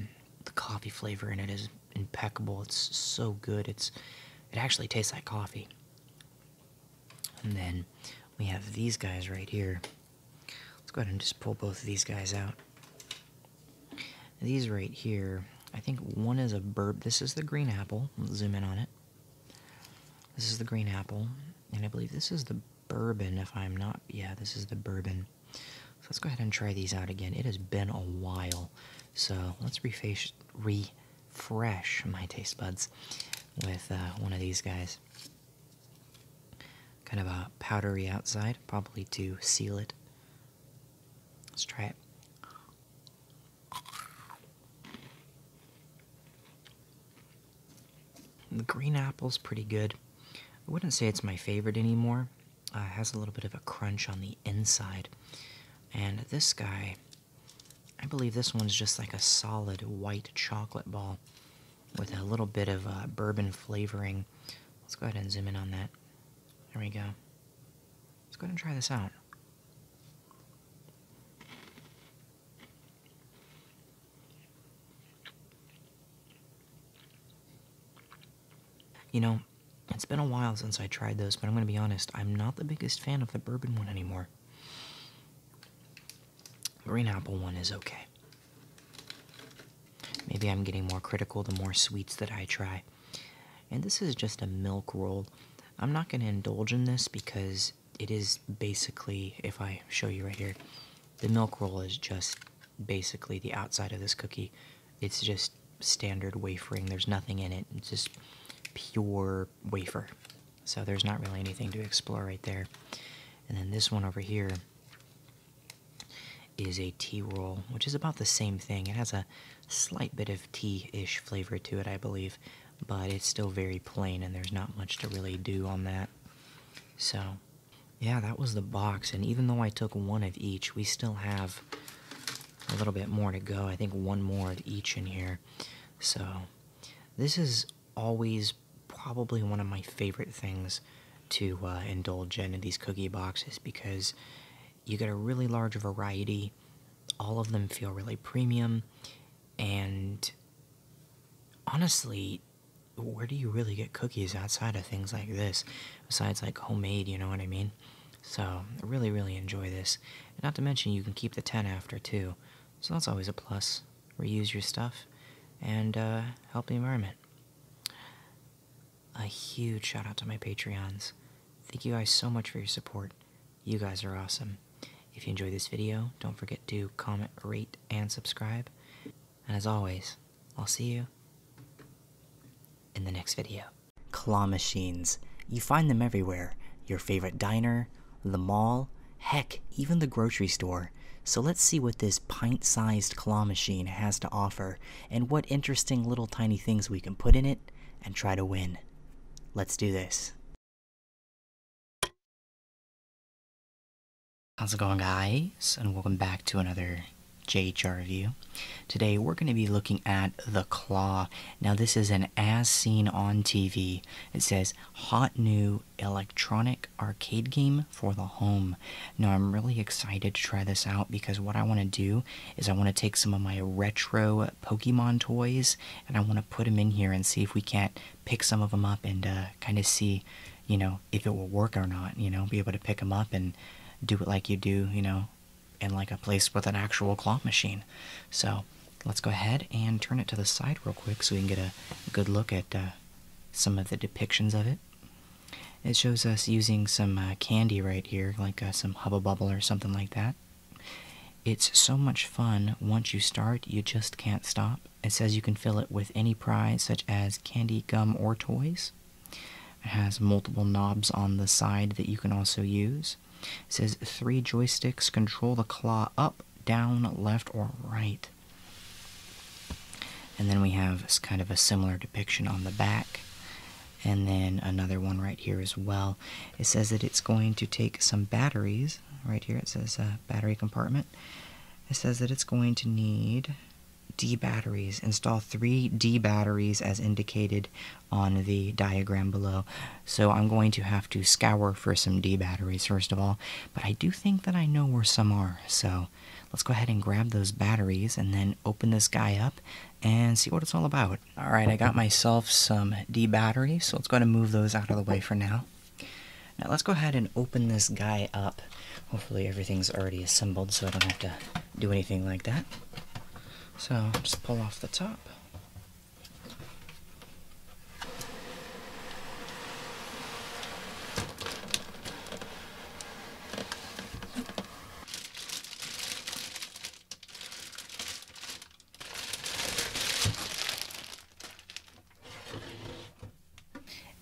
the coffee flavor in it is impeccable. It's so good. It's it actually tastes like coffee. And then we have these guys right here. Let's go ahead and just pull both of these guys out. These right here, I think one is a burp. This is the green apple. zoom in on it. This is the green apple, and I believe this is the bourbon, if I'm not. Yeah, this is the bourbon. So let's go ahead and try these out again. It has been a while, so let's refresh my taste buds with uh, one of these guys. Kind of a powdery outside, probably to seal it. Let's try it. The green apple's pretty good. I wouldn't say it's my favorite anymore. Uh, has a little bit of a crunch on the inside. And this guy, I believe this one's just like a solid white chocolate ball with a little bit of uh, bourbon flavoring. Let's go ahead and zoom in on that. There we go. Let's go ahead and try this out. You know, it's been a while since I tried those, but I'm going to be honest, I'm not the biggest fan of the bourbon one anymore. Green apple one is okay. Maybe I'm getting more critical the more sweets that I try. And this is just a milk roll. I'm not going to indulge in this because it is basically, if I show you right here, the milk roll is just basically the outside of this cookie. It's just standard wafering, there's nothing in it, it's just pure wafer. So there's not really anything to explore right there. And then this one over here is a tea roll, which is about the same thing. It has a slight bit of tea-ish flavor to it, I believe, but it's still very plain and there's not much to really do on that. So, yeah, that was the box. And even though I took one of each, we still have a little bit more to go. I think one more of each in here. So, this is always probably one of my favorite things to uh, indulge in in these cookie boxes because you get a really large variety. All of them feel really premium, and honestly, where do you really get cookies outside of things like this? Besides, like homemade, you know what I mean? So, I really, really enjoy this. not to mention, you can keep the 10 after too, so that's always a plus reuse your stuff, and uh, help the environment. A huge shout out to my Patreons. Thank you guys so much for your support. You guys are awesome. If you enjoyed this video, don't forget to comment, rate, and subscribe. And as always, I'll see you in the next video. Claw machines. You find them everywhere. Your favorite diner, the mall, heck, even the grocery store. So let's see what this pint sized claw machine has to offer and what interesting little tiny things we can put in it and try to win. Let's do this. How's it going guys? And welcome back to another JHR review. Today we're going to be looking at The Claw. Now this is an as seen on TV. It says hot new electronic arcade game for the home. Now, I'm really excited to try this out because what I want to do is I want to take some of my retro Pokemon toys and I want to put them in here and see if we can't pick some of them up and uh, kind of see, you know, if it will work or not, you know, be able to pick them up and do it like you do, you know, in like a place with an actual claw machine. So let's go ahead and turn it to the side real quick so we can get a good look at uh, some of the depictions of it. It shows us using some uh, candy right here, like uh, some Hubba Bubble or something like that. It's so much fun. Once you start, you just can't stop. It says you can fill it with any prize, such as candy, gum, or toys. It has multiple knobs on the side that you can also use. It says three joysticks control the claw up, down, left, or right. And then we have kind of a similar depiction on the back. And then another one right here as well. It says that it's going to take some batteries. Right here it says uh, battery compartment. It says that it's going to need D batteries. Install three D batteries as indicated on the diagram below. So I'm going to have to scour for some D batteries first of all, but I do think that I know where some are, so let's go ahead and grab those batteries and then open this guy up and see what it's all about. All right, I got myself some D batteries, so let's go ahead and move those out of the way for now. Now let's go ahead and open this guy up. Hopefully everything's already assembled so I don't have to do anything like that. So just pull off the top.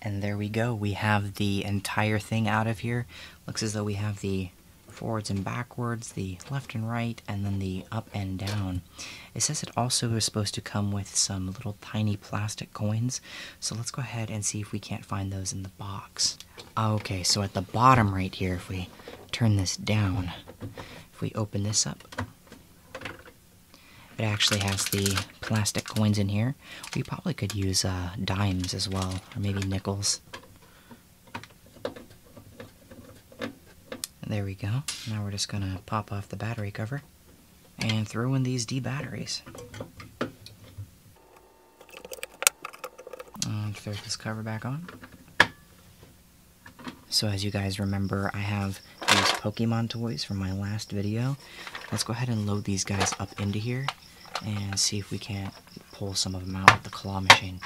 And there we go. We have the entire thing out of here. Looks as though we have the forwards and backwards, the left and right, and then the up and down. It says it also is supposed to come with some little tiny plastic coins so let's go ahead and see if we can't find those in the box. Okay, so at the bottom right here, if we turn this down, if we open this up, it actually has the plastic coins in here. We probably could use uh, dimes as well, or maybe nickels. There we go. Now we're just gonna pop off the battery cover and throw in these D batteries. And throw this cover back on. So as you guys remember, I have these Pokemon toys from my last video. Let's go ahead and load these guys up into here and see if we can't pull some of them out with the claw machine.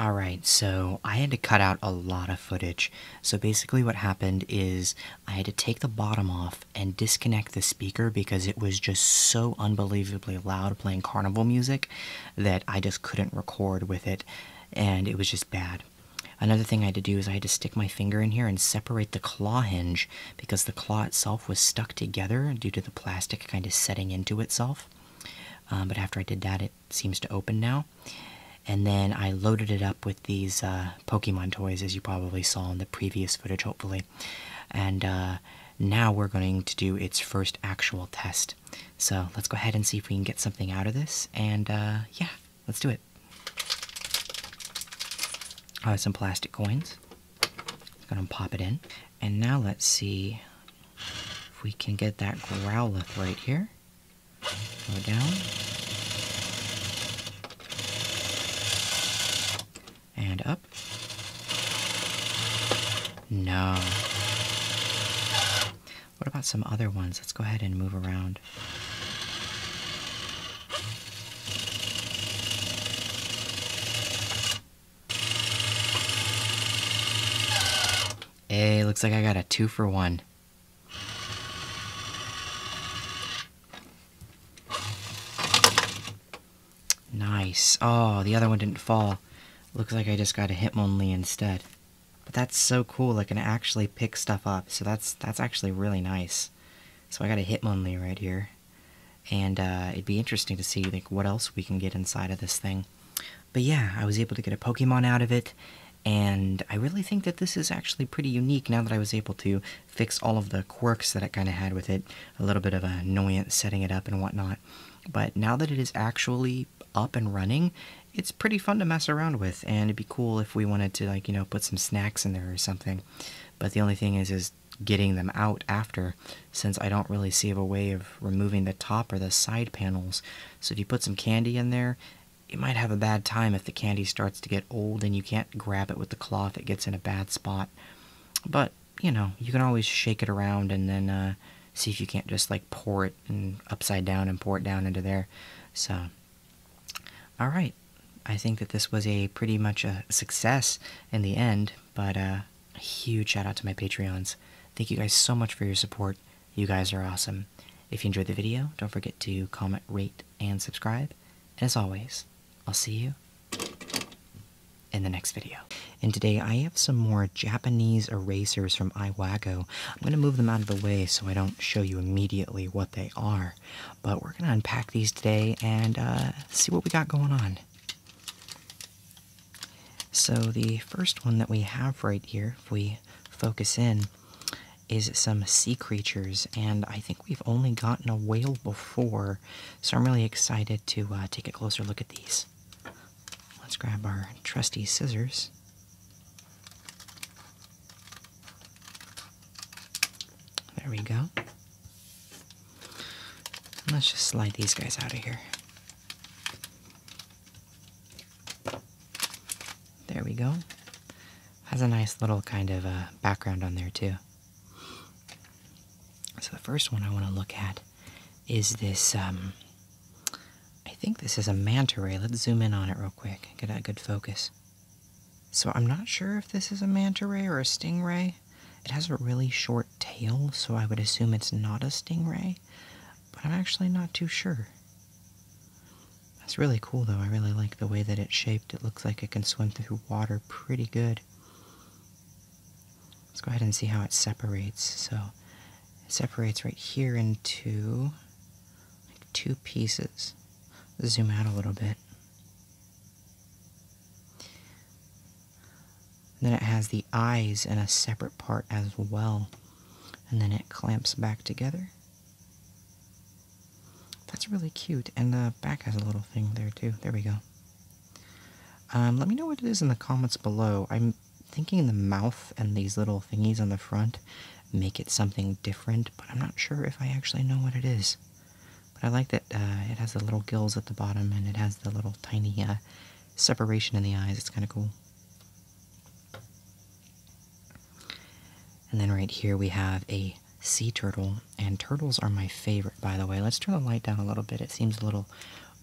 Alright, so I had to cut out a lot of footage. So basically, what happened is I had to take the bottom off and disconnect the speaker because it was just so unbelievably loud playing carnival music that I just couldn't record with it and it was just bad. Another thing I had to do is I had to stick my finger in here and separate the claw hinge because the claw itself was stuck together due to the plastic kind of setting into itself. Um, but after I did that, it seems to open now. And then I loaded it up with these uh, Pokemon toys, as you probably saw in the previous footage, hopefully. And uh, now we're going to do its first actual test. So let's go ahead and see if we can get something out of this. And uh, yeah, let's do it. Uh, some plastic coins. I'm gonna pop it in. And now let's see if we can get that Growlithe right here. Go down. And up. No. What about some other ones? Let's go ahead and move around. Hey, looks like I got a two for one. Nice. Oh, the other one didn't fall. Looks like I just got a Hitmonlee instead. But that's so cool, I can actually pick stuff up, so that's that's actually really nice. So I got a Hitmonlee right here, and uh, it'd be interesting to see like what else we can get inside of this thing. But yeah, I was able to get a Pokemon out of it, and I really think that this is actually pretty unique now that I was able to fix all of the quirks that I kind of had with it. A little bit of annoyance setting it up and whatnot. But now that it is actually up and running, it's pretty fun to mess around with, and it'd be cool if we wanted to, like, you know, put some snacks in there or something. But the only thing is, is getting them out after, since I don't really see a way of removing the top or the side panels. So if you put some candy in there, it might have a bad time if the candy starts to get old and you can't grab it with the cloth, it gets in a bad spot. But, you know, you can always shake it around and then uh, see if you can't just, like, pour it and upside down and pour it down into there. So, all right. I think that this was a pretty much a success in the end, but uh, a huge shout out to my Patreons. Thank you guys so much for your support. You guys are awesome. If you enjoyed the video, don't forget to comment, rate, and subscribe. And as always, I'll see you in the next video. And today I have some more Japanese erasers from Iwago I'm going to move them out of the way so I don't show you immediately what they are. But we're going to unpack these today and uh, see what we got going on. So, the first one that we have right here, if we focus in, is some sea creatures, and I think we've only gotten a whale before, so I'm really excited to uh, take a closer look at these. Let's grab our trusty scissors. There we go. let's just slide these guys out of here. There we go. Has a nice little kind of uh, background on there too. So the first one I want to look at is this um, I think this is a manta ray. Let's zoom in on it real quick. Get a good focus. So I'm not sure if this is a manta ray or a stingray. It has a really short tail, so I would assume it's not a stingray, but I'm actually not too sure. That's really cool though. I really like the way that it's shaped. It looks like it can swim through water pretty good. Let's go ahead and see how it separates. So it separates right here into two pieces. Zoom out a little bit. Then it has the eyes in a separate part as well. And then it clamps back together. That's really cute. And the back has a little thing there too. There we go. Um, let me know what it is in the comments below. I'm thinking the mouth and these little thingies on the front make it something different, but I'm not sure if I actually know what it is. But I like that uh, it has the little gills at the bottom and it has the little tiny uh, separation in the eyes. It's kind of cool. And then right here we have a sea turtle, and turtles are my favorite, by the way. Let's turn the light down a little bit. It seems a little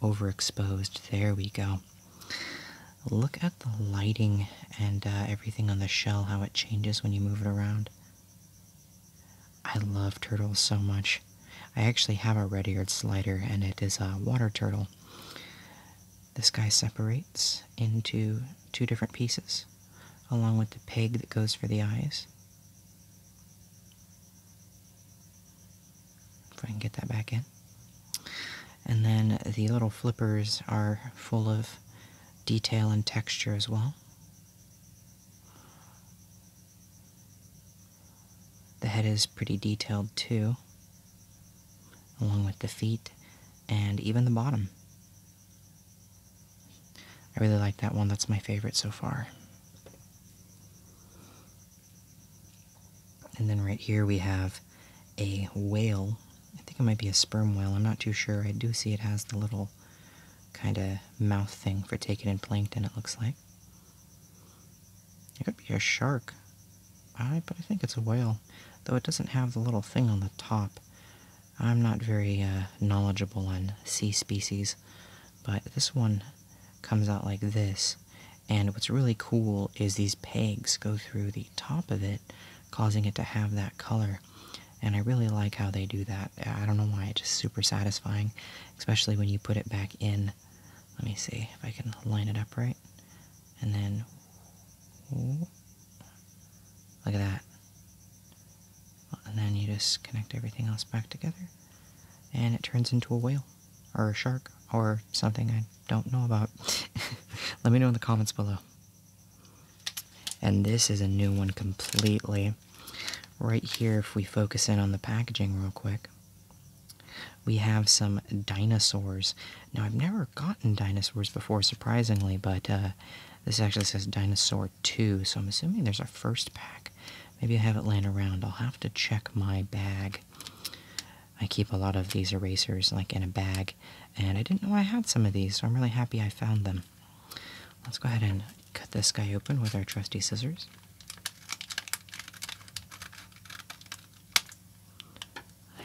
overexposed. There we go. Look at the lighting and uh, everything on the shell, how it changes when you move it around. I love turtles so much. I actually have a red-eared slider, and it is a water turtle. This guy separates into two different pieces, along with the peg that goes for the eyes. If I can get that back in. And then the little flippers are full of detail and texture as well. The head is pretty detailed too, along with the feet and even the bottom. I really like that one, that's my favorite so far. And then right here we have a whale. I think it might be a sperm whale. I'm not too sure. I do see it has the little kind of mouth thing for taking in plankton, it looks like. It could be a shark, I, but I think it's a whale, though it doesn't have the little thing on the top. I'm not very uh, knowledgeable on sea species, but this one comes out like this. And what's really cool is these pegs go through the top of it causing it to have that color. And I really like how they do that. I don't know why, it's just super satisfying, especially when you put it back in. Let me see if I can line it up right. And then, look at that. And then you just connect everything else back together. And it turns into a whale, or a shark, or something I don't know about. Let me know in the comments below. And this is a new one completely. Right here, if we focus in on the packaging real quick, we have some dinosaurs. Now, I've never gotten dinosaurs before, surprisingly, but uh, this actually says Dinosaur 2, so I'm assuming there's our first pack. Maybe I have it laying around. I'll have to check my bag. I keep a lot of these erasers like in a bag and I didn't know I had some of these, so I'm really happy I found them. Let's go ahead and cut this guy open with our trusty scissors.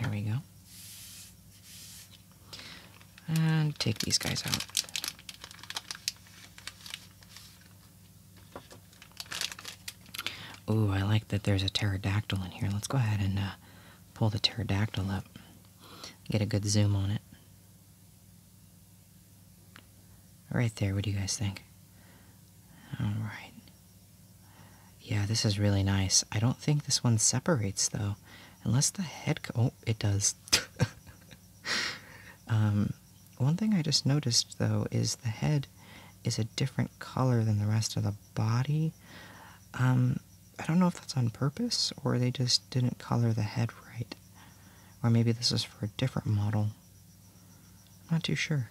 There we go. And take these guys out. Ooh, I like that there's a pterodactyl in here. Let's go ahead and uh, pull the pterodactyl up. Get a good zoom on it. Right there, what do you guys think? Alright. Yeah, this is really nice. I don't think this one separates though. Unless the head. Oh, it does. um, one thing I just noticed though is the head is a different color than the rest of the body. Um, I don't know if that's on purpose or they just didn't color the head right. Or maybe this is for a different model. not too sure.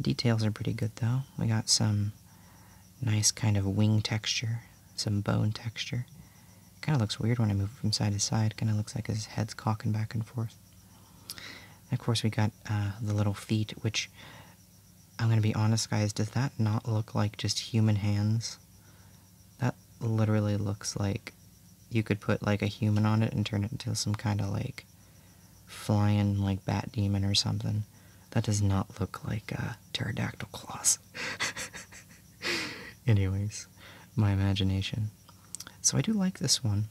Details are pretty good though. We got some nice kind of wing texture, some bone texture. kind of looks weird when I move from side to side. kind of looks like his head's cocking back and forth. of course, we got uh, the little feet, which I'm gonna be honest, guys, does that not look like just human hands? That literally looks like you could put like a human on it and turn it into some kind of like flying like bat demon or something. That does not look like a pterodactyl claws. Anyways, my imagination. So I do like this one.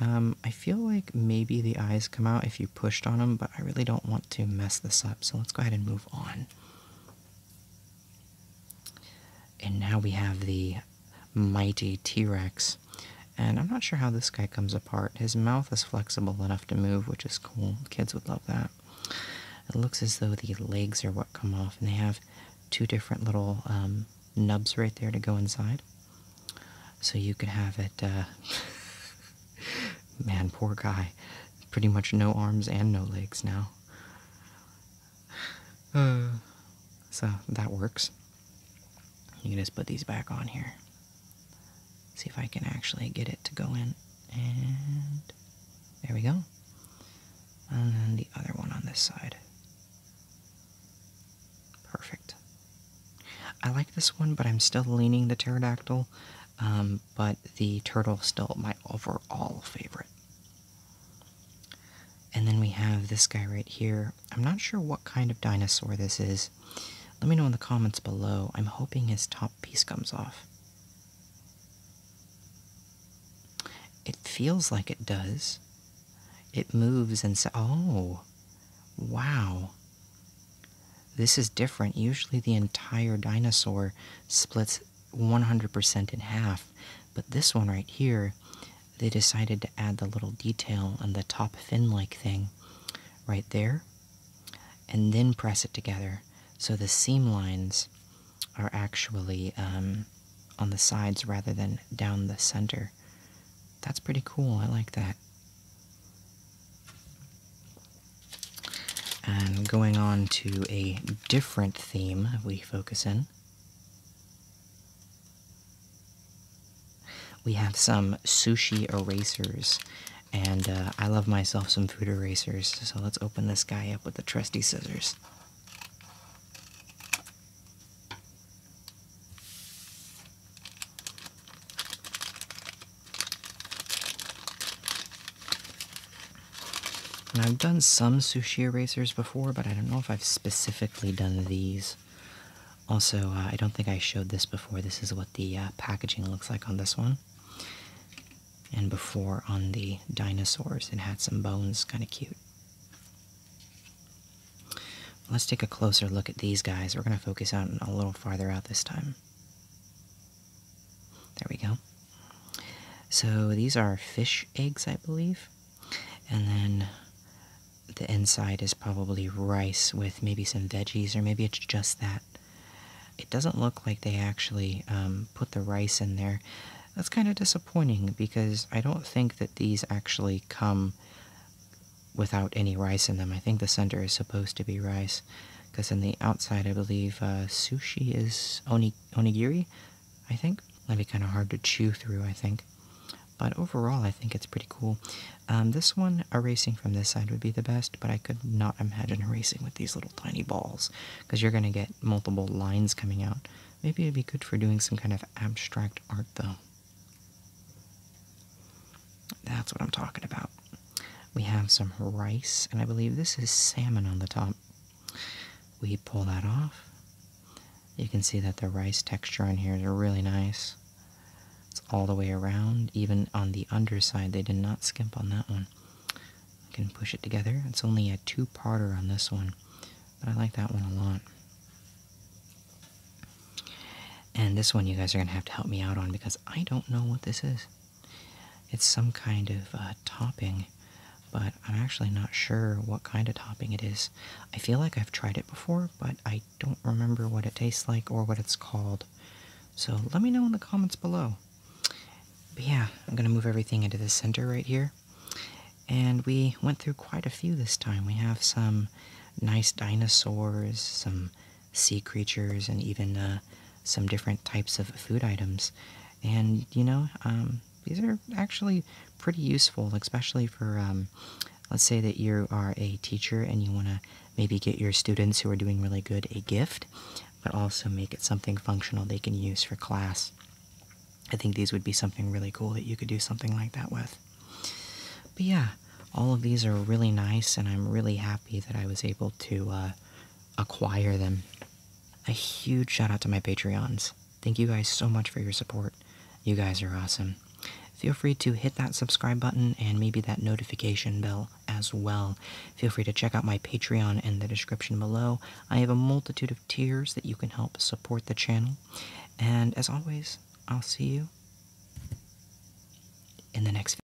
Um, I feel like maybe the eyes come out if you pushed on them, but I really don't want to mess this up, so let's go ahead and move on. And now we have the mighty T Rex. And I'm not sure how this guy comes apart. His mouth is flexible enough to move, which is cool. Kids would love that. It looks as though the legs are what come off, and they have two different little um, nubs right there to go inside. So you could have it uh, Man, poor guy. Pretty much no arms and no legs now. so that works. You just put these back on here. See if I can actually get it to go in. And there we go. And then the other one on this side. Perfect. I like this one, but I'm still leaning the pterodactyl um, but the turtle still my overall favorite. And then we have this guy right here. I'm not sure what kind of dinosaur this is. Let me know in the comments below. I'm hoping his top piece comes off. It feels like it does. It moves and so. Oh, wow. This is different. Usually the entire dinosaur splits 100% in half, but this one right here, they decided to add the little detail on the top fin like thing right there and then press it together. So the seam lines are actually um, on the sides rather than down the center. That's pretty cool. I like that. And going on to a different theme we focus in, we have some sushi erasers. And uh, I love myself some food erasers, so let's open this guy up with the trusty scissors. And I've done some sushi erasers before, but I don't know if I've specifically done these. Also, uh, I don't think I showed this before. This is what the uh, packaging looks like on this one. And before on the dinosaurs, it had some bones, kind of cute. Let's take a closer look at these guys. We're going to focus on a little farther out this time. There we go. So these are fish eggs, I believe. And then the inside is probably rice with maybe some veggies, or maybe it's just that. It doesn't look like they actually um, put the rice in there. That's kind of disappointing because I don't think that these actually come without any rice in them. I think the center is supposed to be rice. Because on the outside, I believe uh, sushi is onigiri, I think. That'd be kind of hard to chew through, I think. But overall, I think it's pretty cool. Um, this one, erasing from this side would be the best, but I could not imagine erasing with these little tiny balls, because you're going to get multiple lines coming out. Maybe it'd be good for doing some kind of abstract art, though. That's what I'm talking about. We have some rice, and I believe this is salmon on the top. We pull that off. You can see that the rice texture on here is really nice. It's all the way around, even on the underside, they did not skimp on that one. I can push it together. It's only a two-parter on this one, but I like that one a lot. And this one you guys are going to have to help me out on because I don't know what this is. It's some kind of uh, topping, but I'm actually not sure what kind of topping it is. I feel like I've tried it before, but I don't remember what it tastes like or what it's called. So let me know in the comments below. But yeah, I'm going to move everything into the center right here. And we went through quite a few this time. We have some nice dinosaurs, some sea creatures, and even uh, some different types of food items. And, you know, um, these are actually pretty useful, especially for, um, let's say that you are a teacher and you want to maybe get your students who are doing really good a gift, but also make it something functional they can use for class. I think these would be something really cool that you could do something like that with. But yeah, all of these are really nice, and I'm really happy that I was able to uh, acquire them. A huge shout out to my Patreons. Thank you guys so much for your support. You guys are awesome. Feel free to hit that subscribe button and maybe that notification bell as well. Feel free to check out my Patreon in the description below. I have a multitude of tiers that you can help support the channel. And as always, I'll see you in the next video.